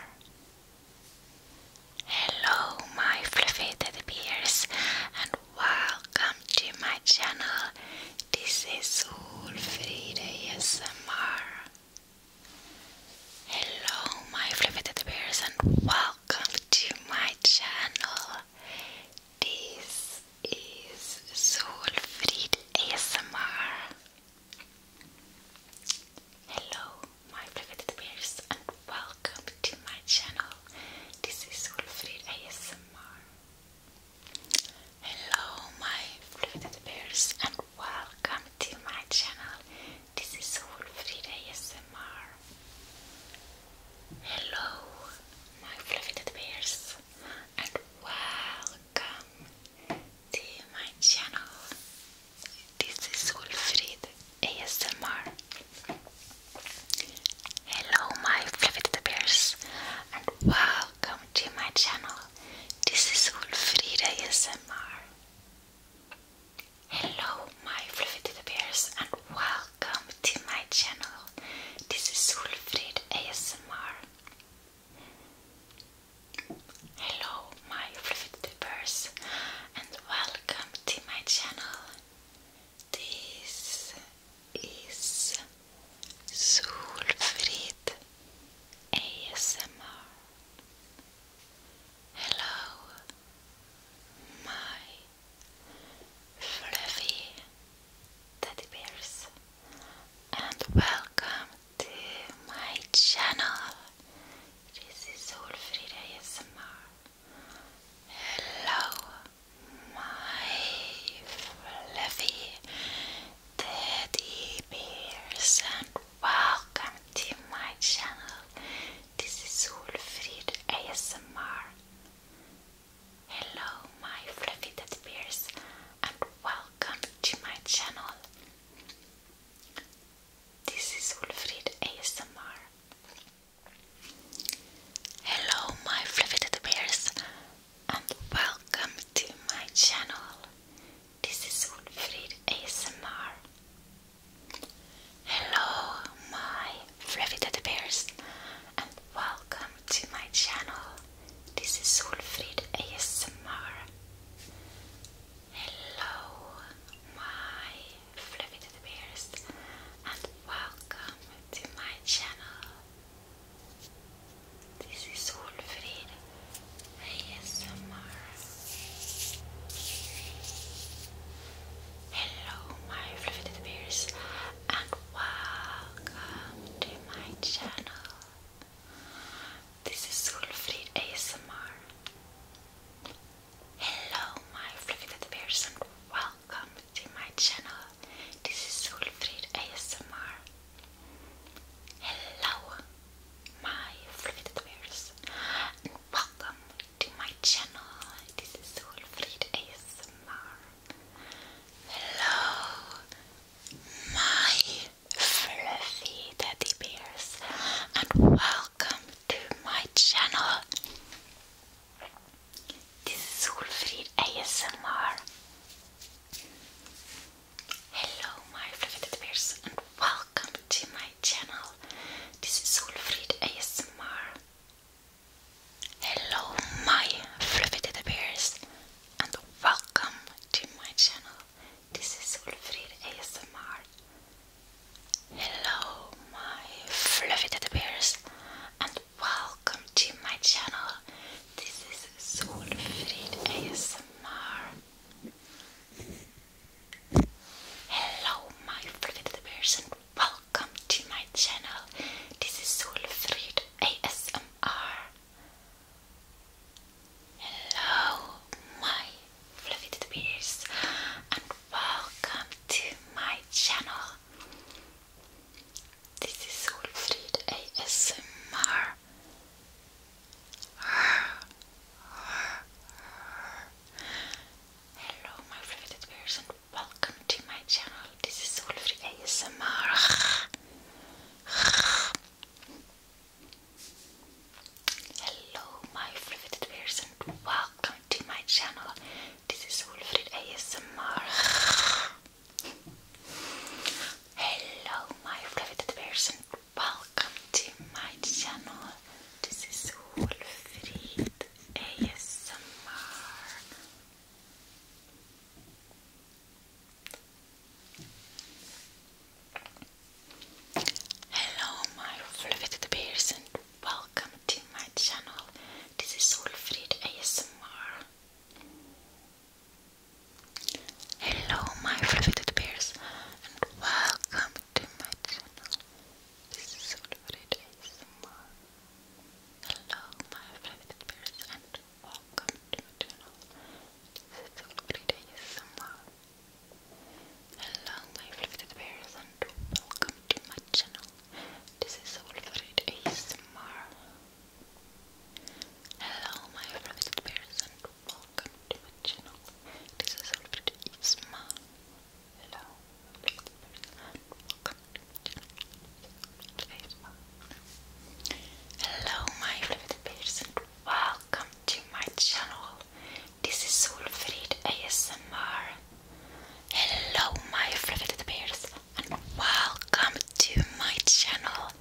Hello, my fluffy teddy bears, and welcome to my channel. This is Solfrid ASMR. Hello, my fluffy bears, and welcome to my channel. This is Solfrid ASMR. Hello, my fluffy bears, and welcome to my channel. This is Solfrid ASMR. Hello, my fluffy bears, and Welcome to my channel. This is Wolfrida ASMR. Hello, my fluffy bears, and welcome to my channel. This is Wolfrida ASMR. Hello, my fluffy bears, and welcome to my channel. This is Wolfrida ASMR. Hello, my fluffy teddy and welcome to my channel. This is Solfrid ASMR. Hello, my fluffy teddy bears, and welcome to my channel. This is Solfrid ASMR. Hello, my fluffy teddy bears, and welcome to my channel. This is Ulfrida ASMR. Hello, my fluffy teddy bears, and Welcome to my channel. This is Ulfrid ASMR. Hello, my fluffy teddy bears, and welcome to my channel. This is Ulfrid ASMR. Hello, my fluffy teddy bears, and welcome to my channel. This is Ulfrid ASMR. Hello, my Fluffy Bears, and welcome to my channel. This is Solfrid ASMR. Hello, my Fluffy Bears, and welcome to my channel. This is Solfrid Hello, my fluffy little and welcome to my channel. This is Sulfried ASMR. Hello, my fluffy little and welcome to my channel. This is Sulfried ASMR. Hello, my Fried bears and welcome to my channel. This is Fried ASMR. Hello, my fluffy teddy bears, and welcome to my channel. This is Fried ASMR. Hello, my fluffy teddy bears, Welcome to my channel. This is Solfrid ASMR. Hello, my fluffy teddy bears, and welcome to my channel. This is Solfrid ASMR. Hello, my fluffy teddy bears, and welcome to my channel. This is Solfrid ASMR. Hello, my favorite person. Welcome to my channel. This is Solfried ASMR. Hello, my fluffy bears, and welcome to my channel. This is Solfried ASMR. Hello my favorite bears welcome to my channel. This is Solfri ASMR. Hello my favorite bears welcome to my channel. This is Solfri ASMR. Hello my favorite bears Welcome to my channel. This is Wolfried ASMR. Hello, my fluffy bears, and welcome to my channel. This is Wolfried ASMR. Hello, my fluffy bears, and welcome to my channel. This is Silverate ASMR. Hello, my favorite bears, and welcome to my channel. This is Silverate ASMR. Hello, my favorite bears, and welcome to my channel. This is Silverate ASMR. Hello, my favorite bears, and welcome to my channel. This is Silverate ASMR. Hello. my favorite person. Welcome to my channel. This is Solfrid ASMR. Hello my favorite bears and welcome to my channel.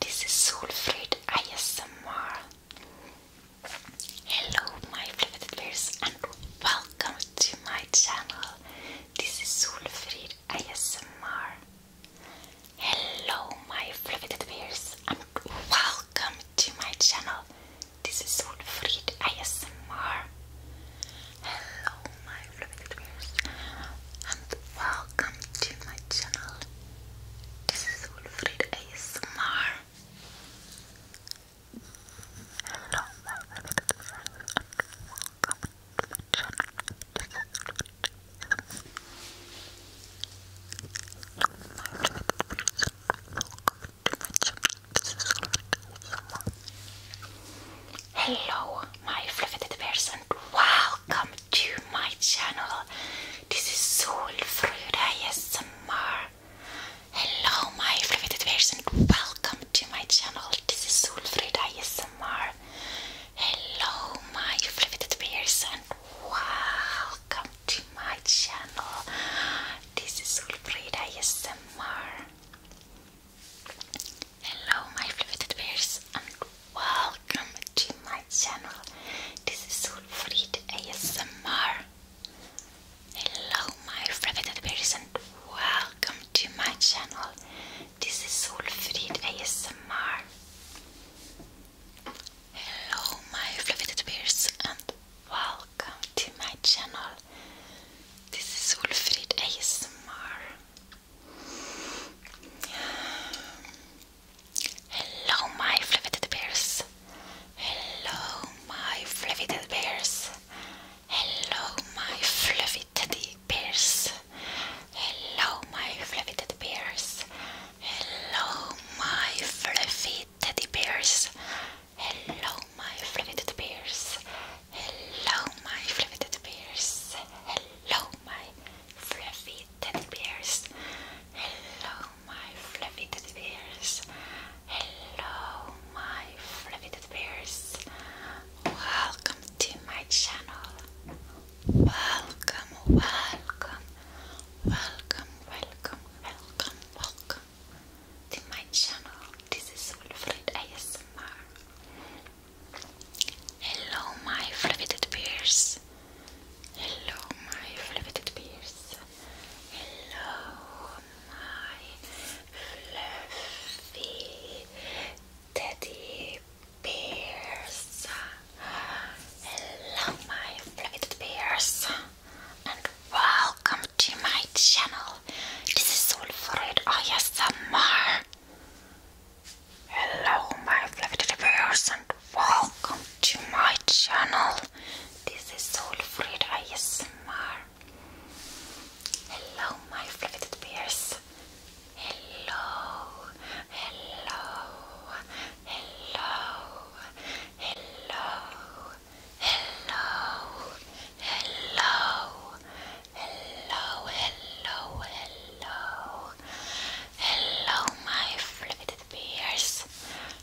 This is Solfrid ASMR. Hello my fliveted bears and welcome to my channel. This is Solfrid ASMR. Hello my fliveted bears and welcome to my channel. This is Solfrid ASMR. Hello my fliveted bears and welcome to my channel. This is Solfrid ASMR. Hello, my fluffy bears, and welcome to my channel. This is Solfröda ASMR. Hello my fluid viewers and welcome to my channel. This is Solfrid ASMR. Hello my fluid viewers and welcome to my channel. This is Solfrid ASMR. Hello my fluid bears and welcome to my channel. This is Solfrid ASMR. Hello my favorite bears and welcome to my channel. This is Ulfrid ASMR. Hello my favorite bears and welcome to my channel. This is Ulfrid ASMR. Hello my fluffy bears Hello, my fluffy teddy bears. Hello, my fluffy teddy bears. Hello, my fluffy teddy bears. Hello, my fluffy teddy bears. Hello, my fluffy teddy bears. Hello, my fluffy teddy bears. Hello, my fluffy teddy bears. Hello, my fluffy teddy bears. Hello, my fluffy bears. Welcome to my channel. Welcome, welcome, welcome, welcome, welcome, welcome to my channel. This is Wilfried ASMR. Hello, my fluffy bears. Hello, my fliveted bears. Hello, my fluffy teddy bears. Hello, my fluffy teddy bears, and welcome to my channel. This is Wolfred ASMR. Hello, my fluffy teddy bears, and welcome to my channel. This is Soulfried ASMR. Hello, my fluffed bears. Hello, hello, hello, hello, hello, hello. Hello, hello, hello. Hello, my flippity bears.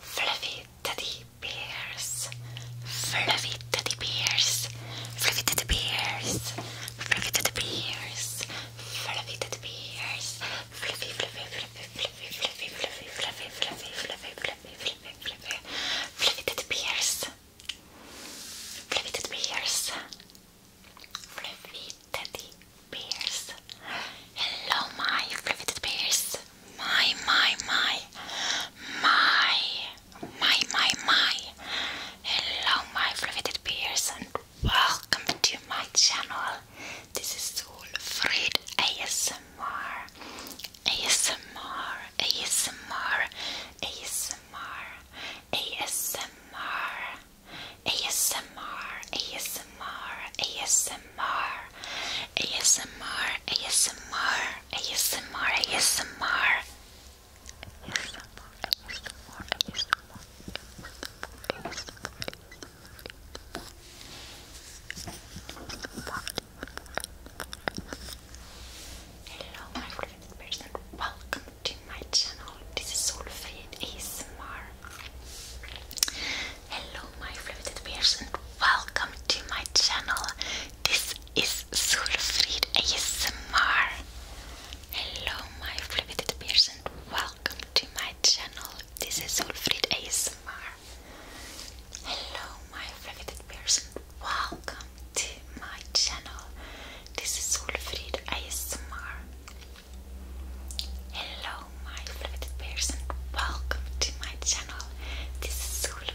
fluffy teddy bears, fluffy teddy bears, fluffy teddy bears, fluffy teddy bears, fluffy teddy bears, fluffy, fluffy, fluffy, fluffy, fluffy, fluffy, fluffy, fluffy, fluffy, fluffy, fluffy, fluffy, fluffy teddy bears, fluffy teddy bears, fluffy teddy bears. Hello, my fluffy teddy bears is my, my, my, my, my, my, my. Hello, my fluffed bears, and welcome to my channel. This is Wolfried ASMR. ASMR, ASMR, ASMR, ASMR, ASMR, ASMR, ASMR, ASMR, ASMR. ASMR, ASMR. ASMR, ASMR, ASMR, ASMR, ASMR. Hello, my favorite person. Welcome to my channel. This is Solfaid ASMR. Hello, my riveted bears and welcome to my channel. This is Sulfried ASMR. Hello my riveted bears and welcome to my channel. This is Sulfried ASMR. Hello my riveted bears and welcome to my channel. This is Sulfried ASMR. Hello my riveted bears and welcome to my channel. This is Sulfried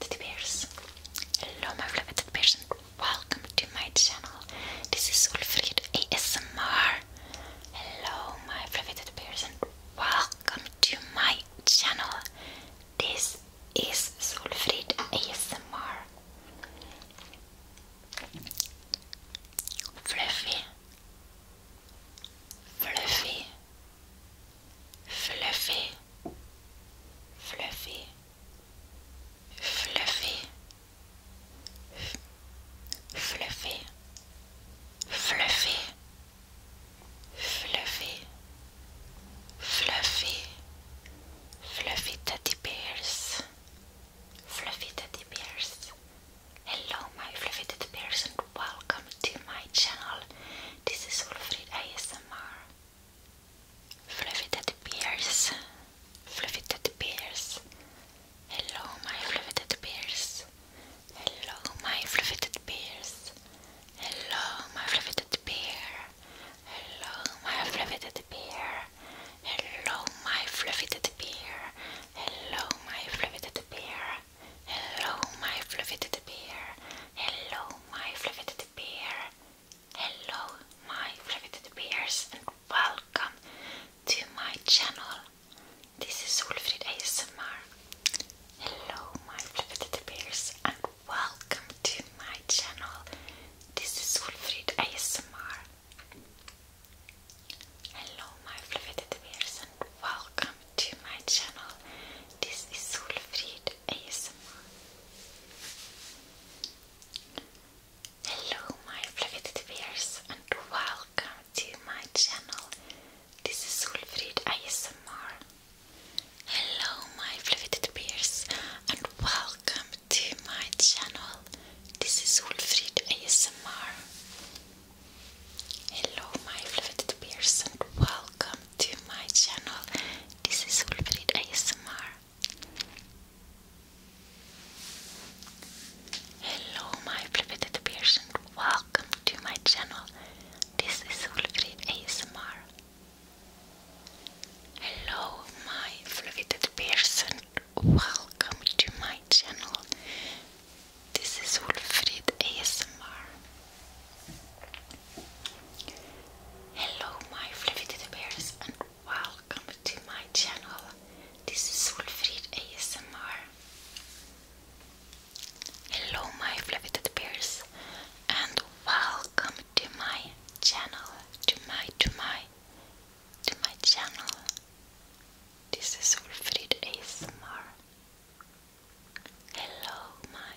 Teddy Bears. Hello my fluffy Teddy Bears welcome to my channel. This is Ulfried ASMR. Hello my fluffy Teddy Bears welcome to my channel. This is Ulfried ASMR. Fluffy. Fluffy. Fluffy fluffy, fluffy, fluffy, fluffy, fluffy, fluffy, fluffy teddy bears, fluffy teddy bears. Hello, my fluffy teddy bears, and welcome to my channel. This is Wolfried ASMR. Fluffy Teddy Bears, Fluffy Teddy Bears. Hello, my Fluffy Teddy Bears. Hello, my Fluffy Teddy Bears. Hello, my Fluffy Teddy Bear. Hello, my Fluffy Teddy Bear. Hello, my Fluffy Teddy Bear. Hello, my Fluffy Teddy Bear. Hello, my Fluffy Teddy Bear. Hello, my Fluffy Teddy Hello, my fluffy bears, and welcome to my channel. This is Ulfrid ASMR. Hello, my fluffy bears, and welcome to my channel. This is Wolfried ASMR. Hello, my fluffy bears, and welcome to my channel. This is Ulfrid ASMR. Hello my fluffy bears and welcome to my channel. This is Ulfrid ASMR. Hello my fluffy bears and welcome to my channel. This is Solfrid ASMR. Hello my fluffy bears and welcome to my channel. This is Ulfried ASMR. Hello, my flippity person. Welcome to my channel. This is Ulfried ASMR. Hello, my fliveted person. Welcome to my channel. This is Ulfried ASMR. Hello my fluffy teddy bears and welcome to my channel. This is Wolfried ASMR. Hello my fluffy teddy bears and welcome to my channel. To my to my to my channel. This is Wolfried ASMR. Hello my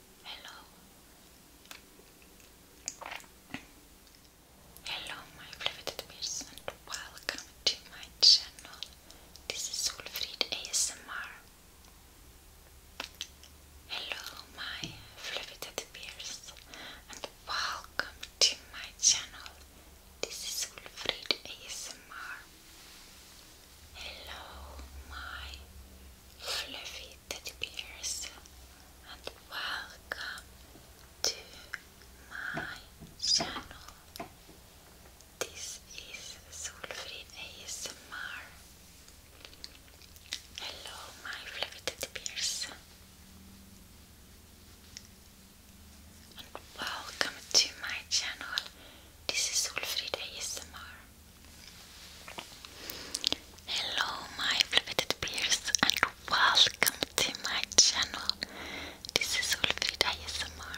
Hello. Hello my beloved bears and welcome to my channel. This is Wolfried ASMR. Hello my beloved bears and welcome to my channel. This is Wolfried ASMR. Hello my fluffy teddy bears and welcome to my channel. This is Solfrid ASMR. Hello my fluffy teddy bears and welcome to my channel. This is Solfrid ASMR. Hello my fliveted peers and welcome to my channel. This is Ulfrid ASMR.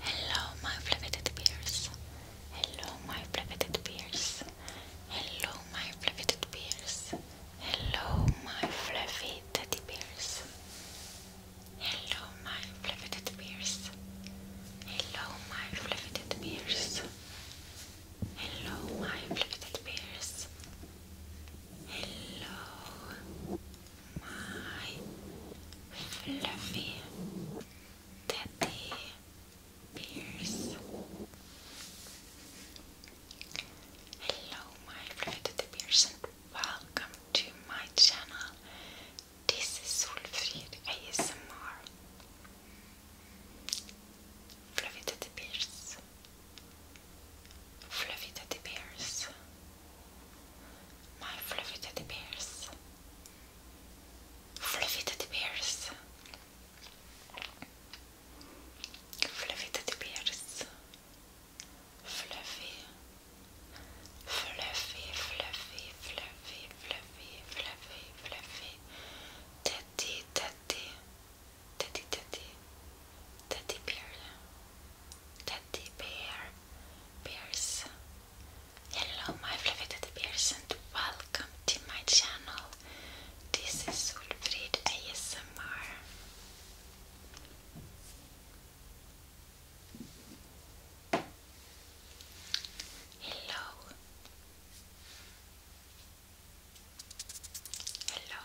Hello my fliveted peers. Hello my fliveted peers. Hello my fliveted peers. Hello my fluffy teddy bears. Hello my fliveted peers. Hello my fliveted peers. Hello, Hello, my blue bears. Hello, my fluffy teddy bears. Hello, my blue teddy bears, and welcome to my channel. This is Solfrid ASMR. Fluffy Teddy Bears. Fluffy Teddy Bears. My Fluffy Teddy Bears. Fluffy Teddy Bears. Fluffy Teddy Bears. Fluffy. Fluffy, fluffy, fluffy, fluffy, fluffy, fluffy. Teddy, teddy. Teddy Teddy Teddy Bear Teddy Bear Bears Hello my fluffy teddy bears and welcome to my channel. This is Ulfrid ASMR. Hello. Hello.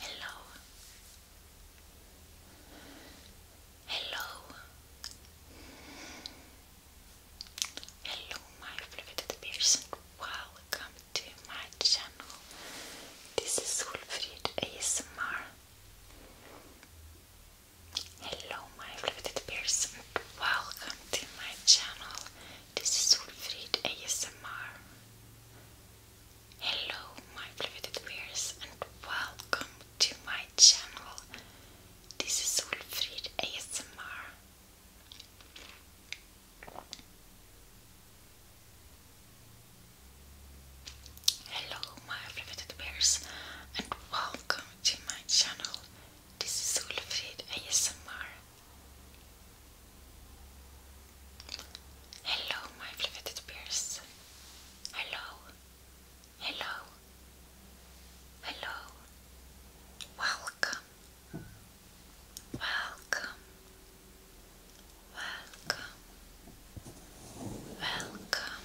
Hello. Hello. Hello my fluted person. Welcome to my channel. This is Ulfrid ASMR. Hello my fluted bears and welcome to my channel. This is Ulfrid ASMR. Hello my fluted bears and welcome to my channel. This is Ulfrid ASMR. Hello my fluted bears and welcome to my channel. This is Solfrid ASMR. Hello, my fluffed bears. Hello. Hello. Hello. Welcome. Welcome. Welcome. Welcome.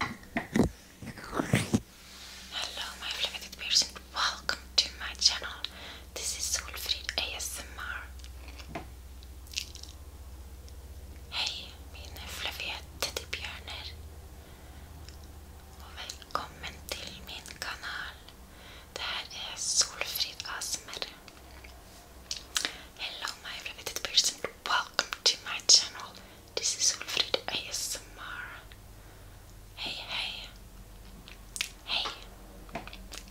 Hello my fliveted person, welcome to my channel. This is Solfrid ASMR. Hej mina er fluffiga teddybjörnar och välkommen till min kanal. Det här Solfrid er ASMR. Hello my fliveted person, welcome to my channel. This is Ulfrid ASMR. Hey, hey. Hey.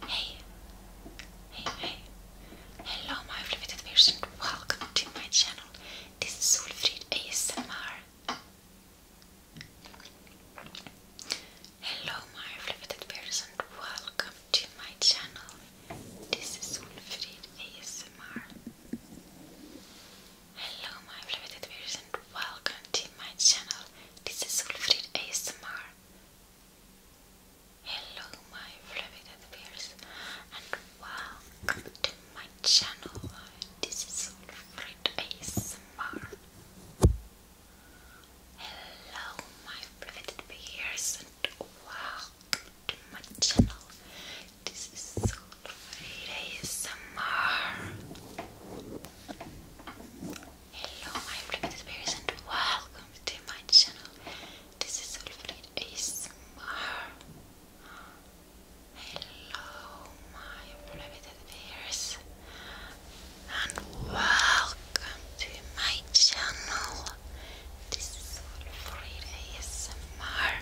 Hey. Hey, hey. Hello, my elevated person. Welcome to my channel. This is Wilfried ASMR. Hello, my elevated person. Welcome to my channel. This is Wilfried ASMR. Hello my beloved viewers and welcome to my channel. This is Ulfried ASMR. Hello my beloved viewers and welcome to my channel. This is Ulfried ASMR. Hello my beloved viewers and welcome to my channel. This is Soul ASMR. Hello, my flipped spirits, and welcome to my channel. This is Soul ASMR. Hello, my flipped spirits, and welcome to my channel. This is Soul ASMR.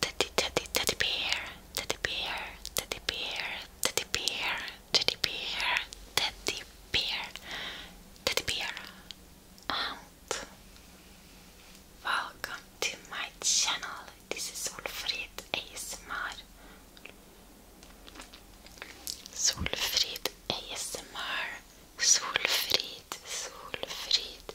Teddy, teddy, teddy bear, teddy bear, teddy bear, teddy bear, teddy bear, teddy bear, teddy bear. And welcome to my channel. This is Solfrid ASMR. Solfrid ASMR. Solfrid, Solfrid,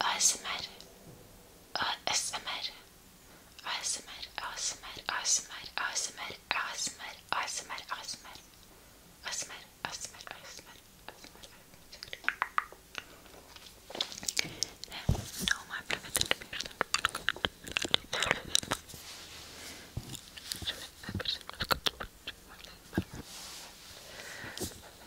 ASMR, ASMR, ASMR, ASMR, ASMR, ASMR, ASMR, ASMR, ASMR, ASMR, ASMR, ASMR, Olmaya bırakacak bir yerden. Hello,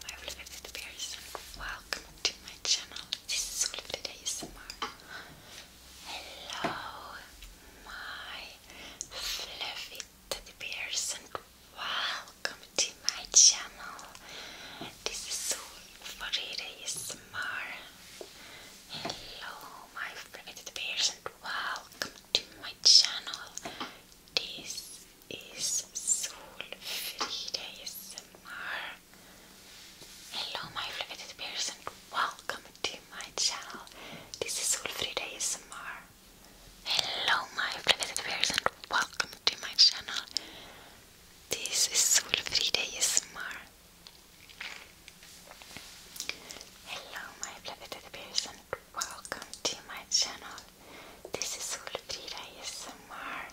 my bears. Welcome to my channel. This is Holiday ASMR. Hello, my fluffy teddy bears, and welcome to my channel. This is Farida Ismar. Hello, my fluffy teddy bears, and welcome to my channel. This is Sol Frida Hello my fliveted peers and welcome to my channel. This is Ulfrida ASMR. Hello my fliveted peers and welcome to my channel. This is Ulfrida ASMR. Hello my fliveted peers and welcome to my channel. This is Ulfrida ASMR.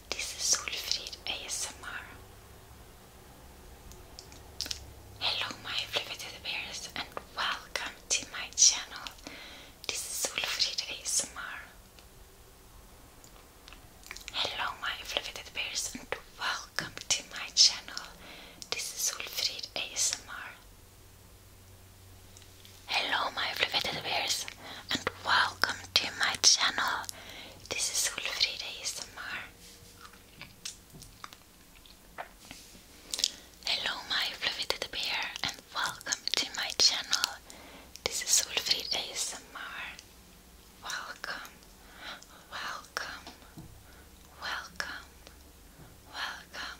This is Ulfrid ASMR. Hello my fluffy bears and welcome to my channel. This is Solfrid ASMR. Hello my fluffy bears and welcome to my channel. This is Solfrid ASMR. Hello my fluffy bears and welcome to my channel. This is Ulfrida ASMR. Hello my fluffy bear and welcome to my channel. This is Ulfrida ASMR. Welcome, welcome, welcome, welcome.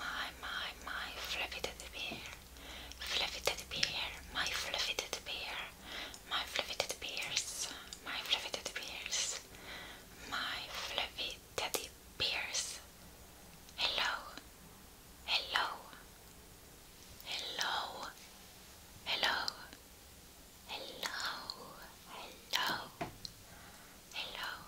My, my, my fluffy bear. Fluffy Teddy Bear, my Fluffy Teddy Bear, my Fluffy Teddy Bears, my Fluffy Teddy Bears, my Fluffy Teddy Bears. Hello, hello, hello, hello, hello, hello, hello.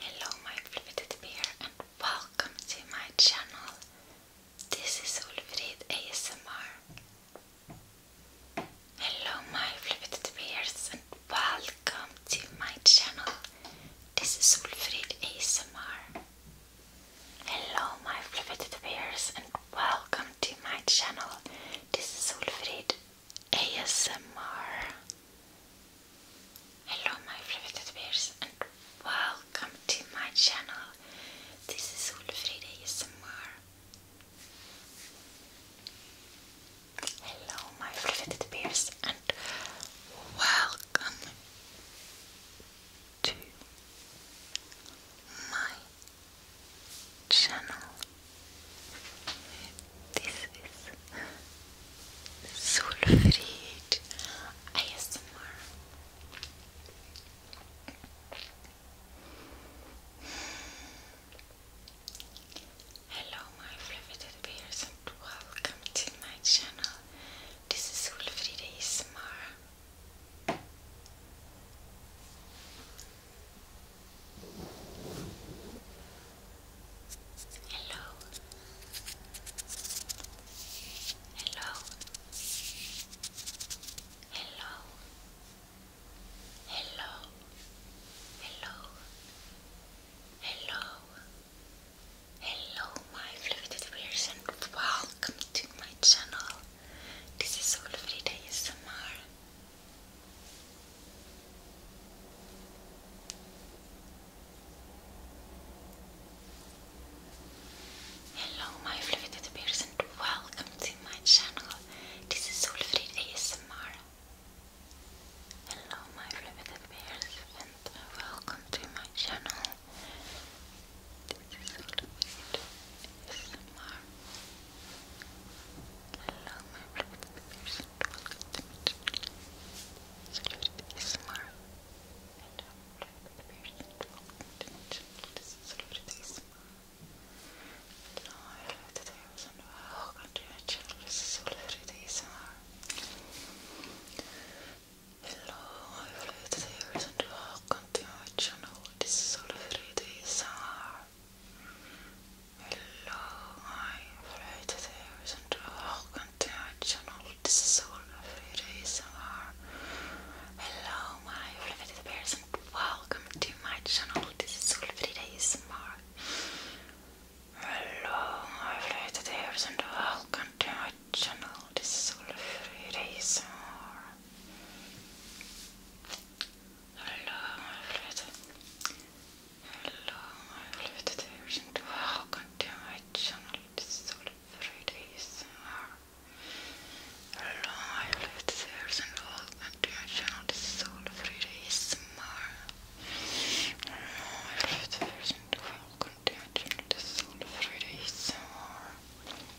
Hello my Ulvrid bear and welcome to my channel. This is Ulvrid ASMR. Hello my Ulvrid bears and welcome to my channel. This is Ulfrid ASMR. Hello my fliveted bears and welcome to my channel. This is Ulfrid ASMR. Hello my fliveted bears and welcome to my channel. This is Ulfrid ASMR. Hello my fliveted bears and welcome to my channel. This is Sulfried ASMR. Hello my fluffy teddy and welcome to my channel. This is Sulfried ASMR. Hello. Hello. Hello. Hello. Hello. Hello. Hello my fluid viewers and welcome to my channel. This is Solfrid ASMR. Hello my fluffy teddy bears and welcome to my channel. This is Solfrid ASMR. Hello my fluffy teddy bears and welcome to my channel. This is all the Hello, my friends and viewers, and welcome to my channel. Salute ASMR. And I'm my channel. This is Salute ASMR. Hello, my channel. This is Salute ASMR. Hello, every viewers and welcome to my channel. This is Olivia Summer. Hello, my favorite viewers and welcome to my channel. This is Olivia Summer. Hello, my favorite viewers and welcome to my channel. This is Olivia Summer. Hello, my favorite viewers and welcome to my original desulfurization. Hello, my fluid. Hello, my fluid addiction to how original desulfurization. Hello, my fluid addiction to how original desulfurization. Hello, my fluid addiction to how original desulfurization. Hello,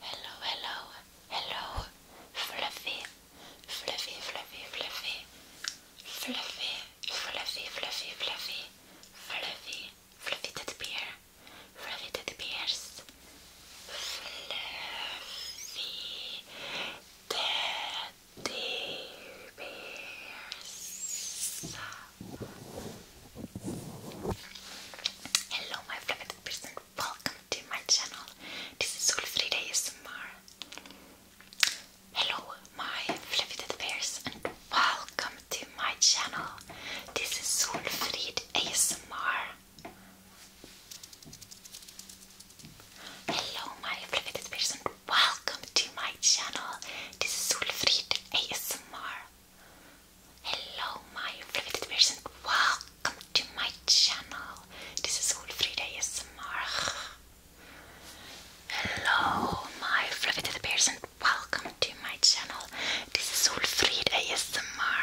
Hello, hello, hello, fluffy, fluffy, fluffy, fluffy, fluffy, fluffy, fluffy, fluffy, fluffy, fluffy teddy bear, fluffy teddy bears, fluffy teddy bears. Hello, my fluffy person. Welcome to my channel. This is Ulfrid ASMR. Hello, my fluffy teddy bears, and welcome to my channel. This is Solfrid ASMR. Hello, my fluffy teddy bears, and welcome to my channel. This is Solfrid ASMR. Hello, my fluffy teddy bears, and welcome welcome to my channel. This is Ulfrida ASMR. Hello, my fluffy teddy bears, and welcome to my channel. This is Ulfrida ASMR.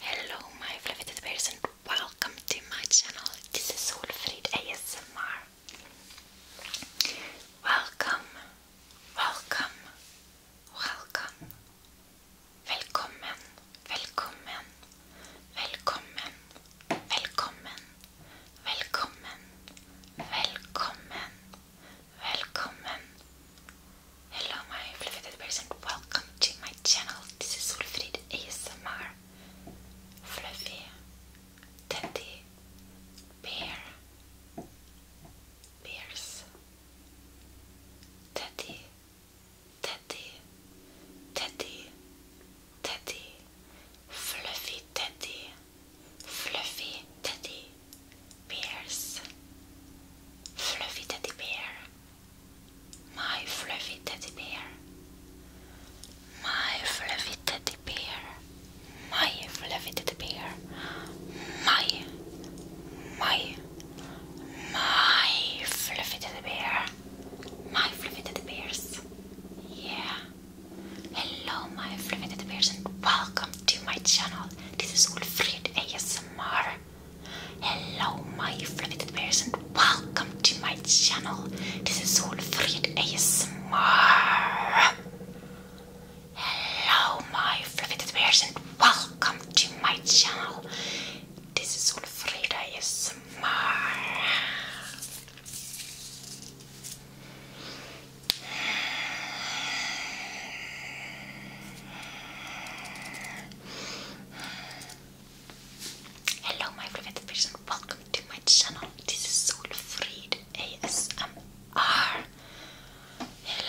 Hello, my fluffy teddy bears, and welcome to my channel. This is Ulfrida ASMR. Welcome, welcome, welcome, Velkommen, velkommen, velkommen, velkommen, velkommen, velkommen, velkommen. Hello my fluffy teddy bears and welcome to my channel. This is Ulfrid ASMR. Fluffy teddy bear bears teddy Teddy, Teddy, Teddy, Fluffy Teddy, Fluffy Teddy Bears, Fluffy Teddy Bear, my Fluffy Teddy Bear, my Fluffy Teddy Bear, my Fluffy Teddy Bear, my, my my fluffy teddy bear, my fluffy teddy bears. Yeah. Hello, my fluffy teddy bears, and welcome to my channel. This is Ulfrid ASMR. Hello, my fluffy bears, and welcome to my channel. This is Ulfrid ASMR. Hello, my fluffy teddy bears, and welcome to my channel. This is Ulfrida ASMR. Hello my private person, welcome to my channel. This is Ulfrida ASMR.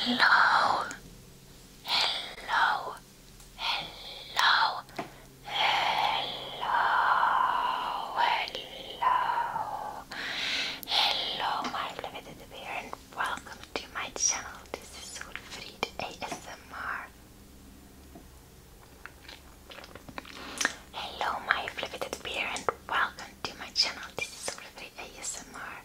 Hello. Hello hello, hello, hello, hello, my beloved bear, and welcome to my channel. This is Solfried ASMR. Hello, my beloved bear, and welcome to my channel. This is Solfried ASMR.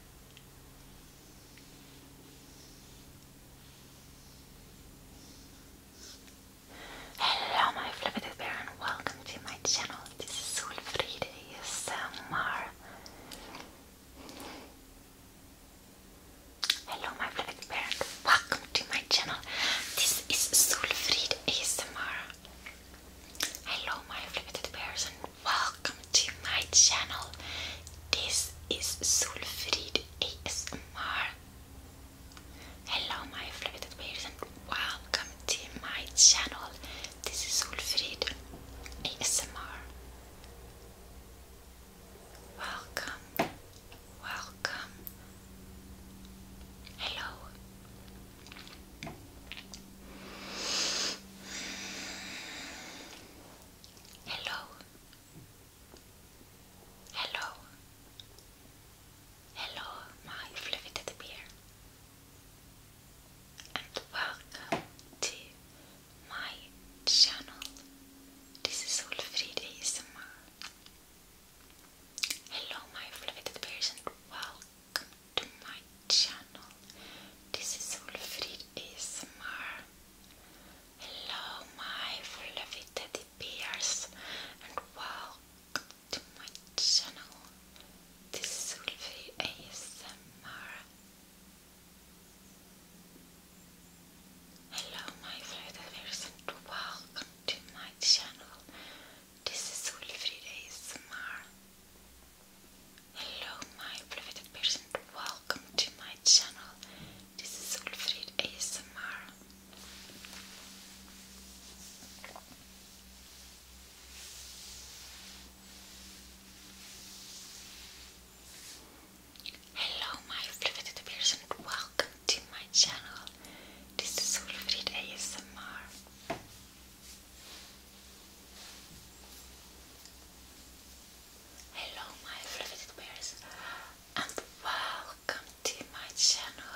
Hello my flippited bear and welcome to my channel. This is Ulfrida ASMR. Hello my flippited bear and welcome to my channel. This is Sulfried ASMR. Hello my flippited bears and welcome to my channel. This is Sulfried ASMR. Hello my flighted bears and welcome to my channel. This is Ulfrid ASMR. Welcome, welcome. Hello. Hello. Hello. Hello, my fluffy teddy bear. And welcome to my channel. This is Ulfrid ASMR. Hello, my fluffy teddy welcome to my channel. This is Ulfrid ASMR. Hello, my fluffy teddy bears, and welcome to my channel. This will be ASMR. Hello, my fluffy bears, and welcome to my channel. This is Wilfried ASMR. Hello, my private person, welcome to my channel. This is Ulfrid ASMR. Hello, my fliveted person, and welcome to my channel. This is Ulfrid ASMR. Hello, my fliveted bears and welcome to my channel.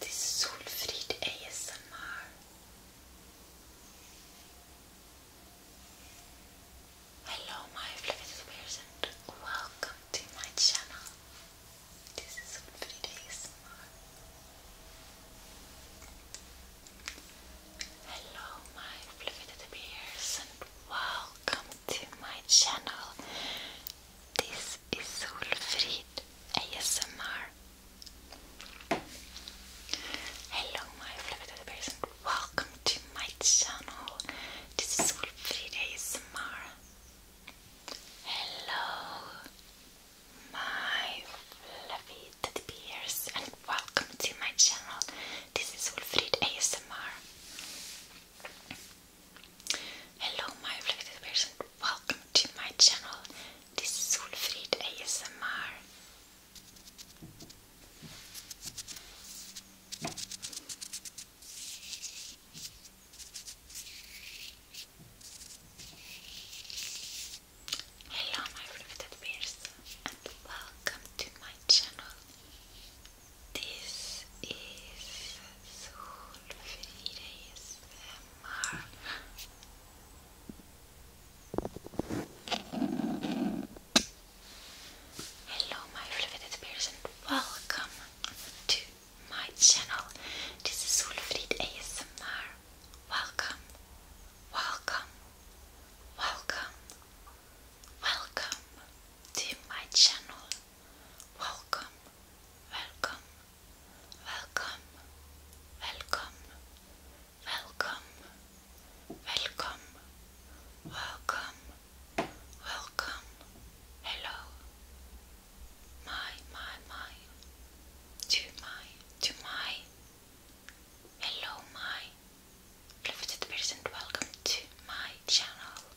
This is ASMR. Hello my fluffy bears and welcome to my channel. This is Solfrid ASMR. Hello my fluffy bears and welcome to my channel. This is Solfrid ASMR. Hello, my fluffy person. Welcome to my channel. This is Solfrid ASMR. Hello, my fluffy teddy bears, and welcome to my channel. This is Wolfried ASMR. Hello my reflective person, welcome to my channel. This is Solfrid ASMR. Hello my reflective person and welcome to my channel. This is Solfridis MR. Hello, my fluid peers, and welcome to my channel. This is Solfrid ASMR. Welcome, welcome, welcome, welcome to my channel. Welcome, welcome, welcome, welcome, welcome, welcome, welcome, welcome, hello. My, my, my, to my, to my, hello, my, love person, welcome to my channel.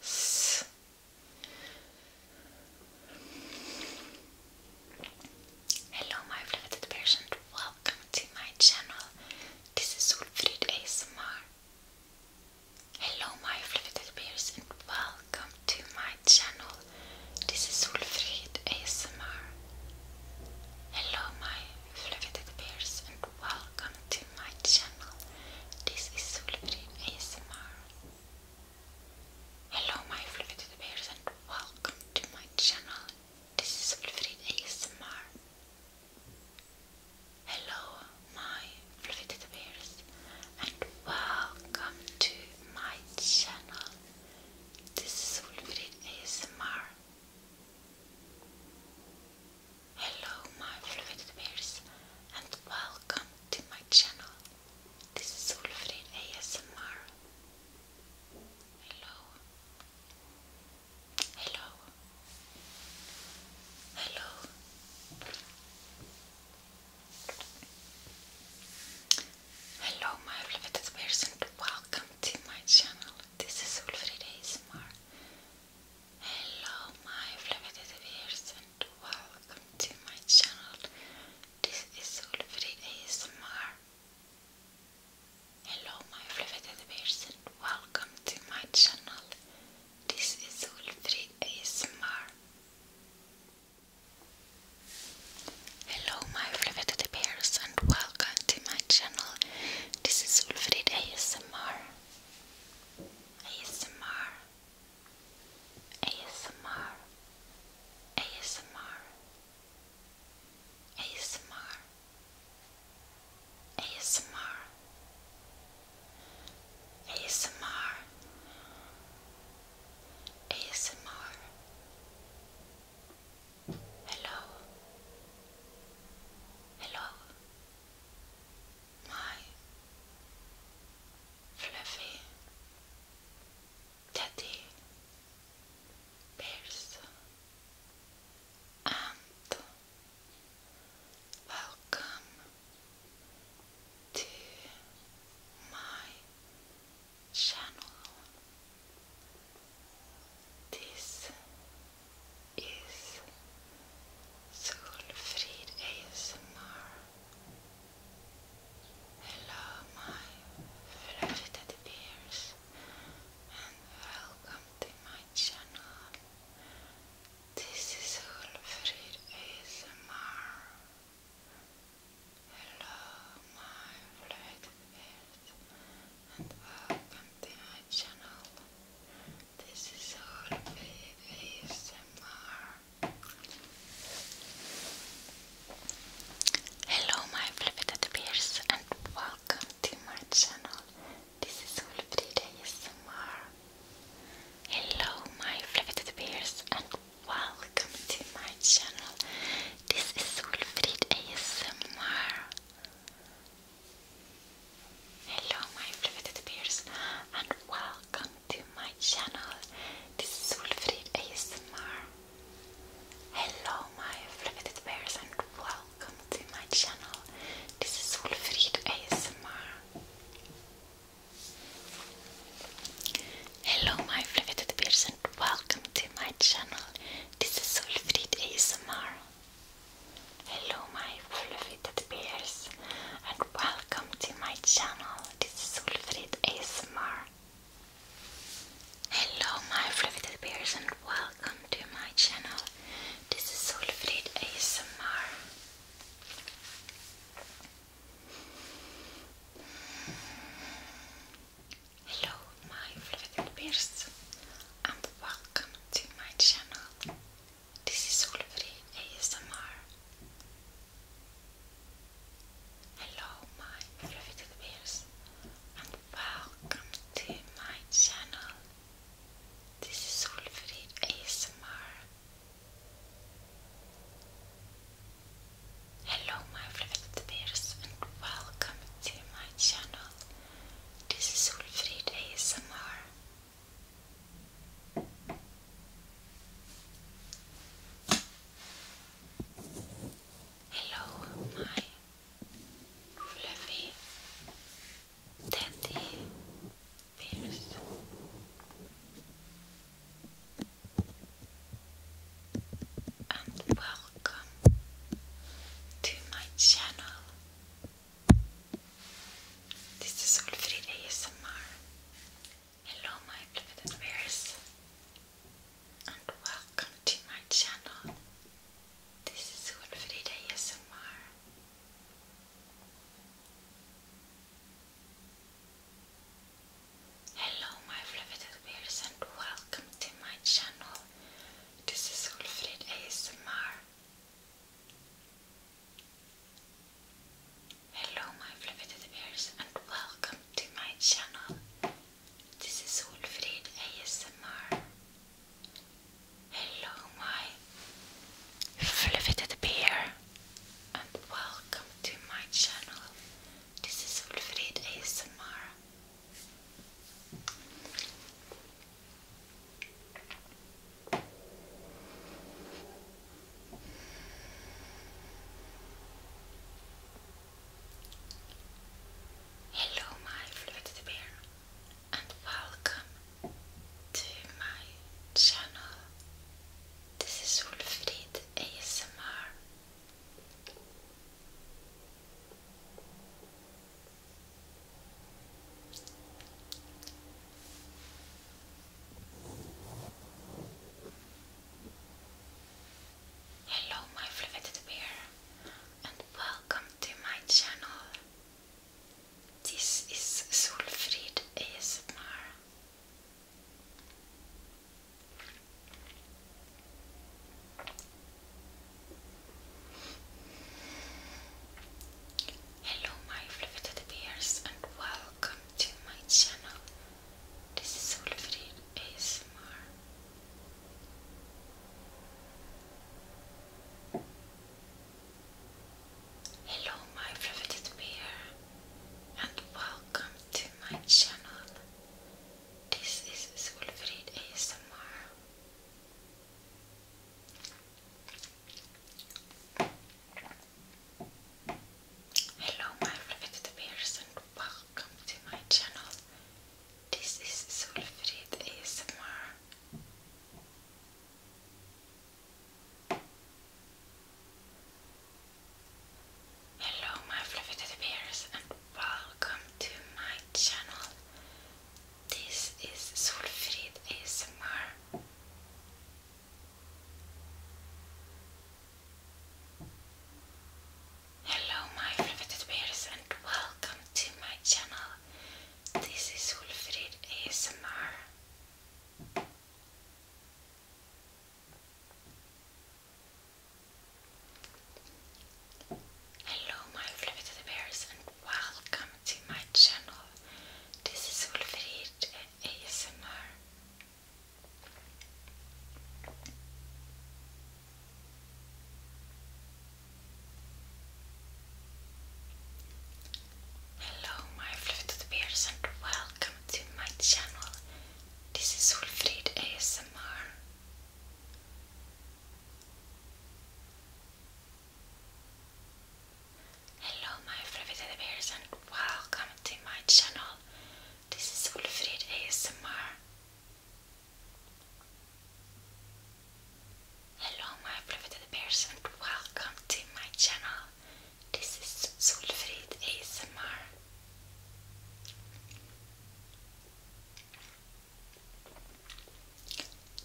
Hello my beloved patient, welcome to my channel. This is Ulfrid ASMR. Hello my beloved bears and welcome to my channel. This is Ulfrid ASMR. Hello my beloved bears and welcome to my channel. This is Ulfrid ASMR. Hello my fluted bears and welcome to my channel. This is Fluted ASMR. Hello my fluted bears and welcome to my channel. This is Fluted ASMR. Hello my fluted bears and welcome to my channel. This is Solfrid ASMR. Hello. Hello. Hello. Hello my beloved person, welcome to my channel. This is Solfrid ASMR. Hello my beloved person welcome to my channel. This is Ulfrid ASMR. Hello my fluffy teddy bears and welcome to my channel. This is Ulfrid ASMR. Hello my fluffy teddy bears and welcome to my channel. This is Ulfrid ASMR. ASMR ASMR ASMR ASMR ASMR ASMR ASMR Hello Hello my fluffy teddy bears and welcome to my channel. This is Solfrid ASMR Hello, my fluffy teddy and welcome to my channel. This is Ulfrid ASMR. Hello, my fluffy teddy and welcome to my channel. This is Ulfrid ASMR. Hello my flippity beers, and welcome to my channel. This is Flippity ASMR. Hello my flippity beers, and welcome to my channel. This is Wolfried ASMR. Hello my flippity bears and welcome to my channel. This is Wolfried ASMR. Hello, my fliveted bears, and welcome to my channel. This is Wolfried ASMR. Hello, my fliveted bears, and welcome to my channel. This is Wolfried ASMR. Hello, my fluffy bears, and welcome to my channel this is Ulfrid ASMR. Hello my fluffy bears and welcome to my channel. This is Ulfrid ASMR. Hello my fluffy bears and welcome to my channel. This is Ulfrid ASMR. Hello my riveted bears and welcome to my channel. This is Solfrid ASMR. Hello my riveted bears and welcome to my channel. This is Solfrid ASMR. Hello, my fluffy teddy bears. And welcome to my channel. This is Solfrid ASMR Hello my beloved viewers and welcome to my channel. This is Wilfrida ASMR. Hello my beloved viewers and welcome to my channel. This is Wilfrid Hello my fluffy bears and welcome to my channel. This is Wolfried ASMR. Hello my fluffy bear and welcome to my channel. This is Wolfried ASMR. Hello, my fluted bear, and welcome to my channel. This is Wolfried ASMR. Hello my fluffed bear and welcome to my channel. This is Solfrid ASMR. Hello my fluffed bears and welcome to my channel. This is Solfrid ASMR. Hello, my favorite bear, and welcome to my channel. This is Solfrid ASMR. Hello my fluffed bears and welcome to my channel. This is Solfrid ASMR. Hello my fluffy teddy bears and welcome to my channel. This is Solfrid Esmer. Hello my beloved bears and welcome to my channel. This is Wolfried ASMR. Hello my fliveted bears and welcome to my channel. This is Wolfried ASMR. Hello my fluted bears and welcome to my channel. This is Wolfried ASMR. Hello my fluted bears and welcome to my channel. This is Olfrid ASMR. Hello my beloved bears and welcome to my channel. This is Solfrid ASMR.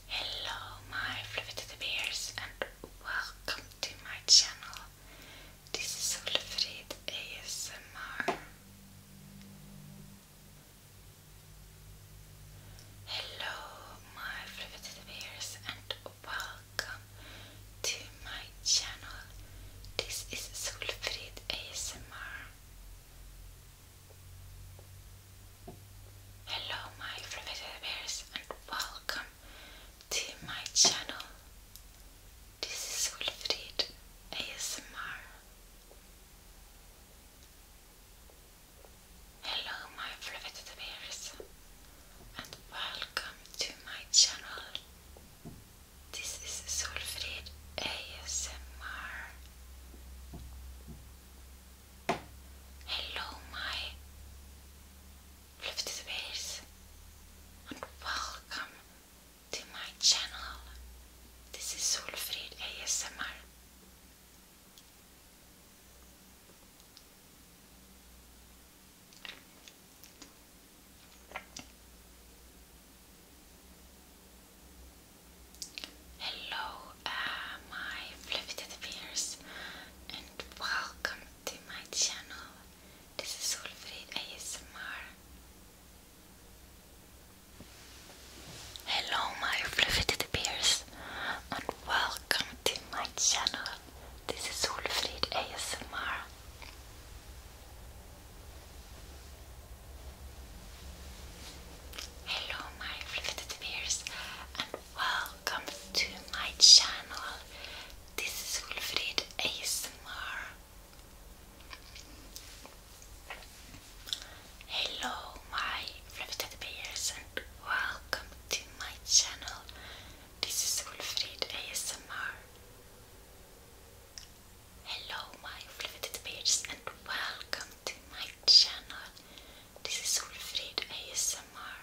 Hello my beloved bears and welcome to my channel. This is Solfrid ASMR. Hello, my fluffy bears, and welcome to my channel. This is Solfrid ASMR. Hello, my fluffy bears, and welcome to my channel. This is Ulfrid ASMR. Hello, my fluffed bears, and welcome to my channel. This is Solfrid ASMR. Hello, my Fluffy Bears and welcome to my channel. This is Solfrid ASMR. Hello, uh, my fluffy bears, and welcome this is Solfrid ASMR. Hello my fluffy teddy and welcome to my channel. This is Solfrid ASMR. Hello my fluffy teddy and welcome to my channel. This is Wolfried ASMR. Hello, my fluffy bears, and welcome to my channel. This is Wilfried ASMR. Hello, my fluffy bears, and welcome to my channel. This is Wilfried ASMR.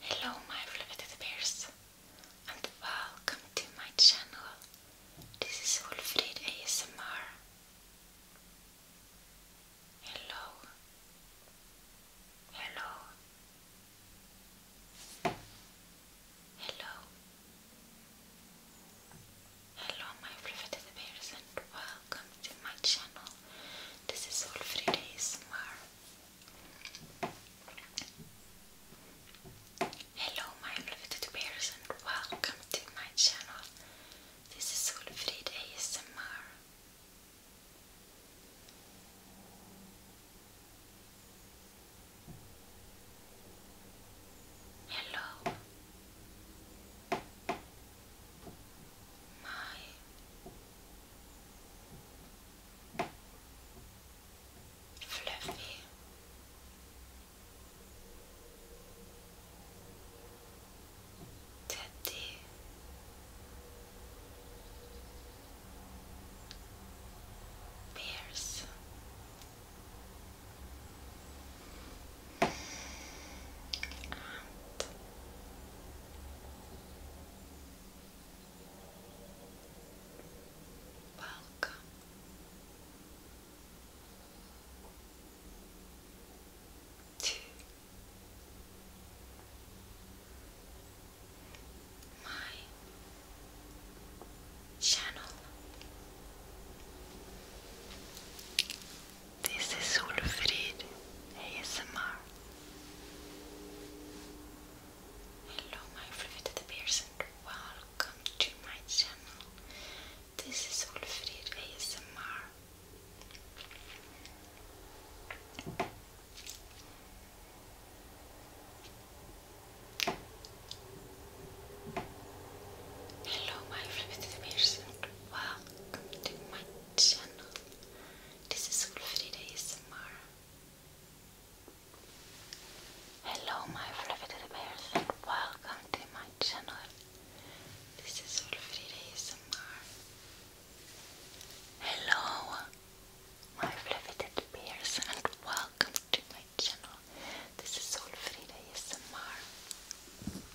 Hello my fluffed bears and welcome to my channel. This is Wolfried ASMR. Hello. Hello. Hello. Hello my fluffy bears welcome to my channel. This is Wolfried ASMR. Hello my fluffy bears welcome to my channel. This is Wolfried ASMR. Hello, my fluffy teddy. Bears and welcome. To my channel, this is Olafried ASMR. Hello my fluffy teddy welcome to my channel. This is Solfrid ASMR. Hello my flippity viewers and welcome to my channel. This is Ulfrida ASMR. Hello my fluffy bears and welcome to my channel. This is Ulfrida ASMR. Hello my fluffy bears and welcome to my channel. This is Ulfrida ASMR.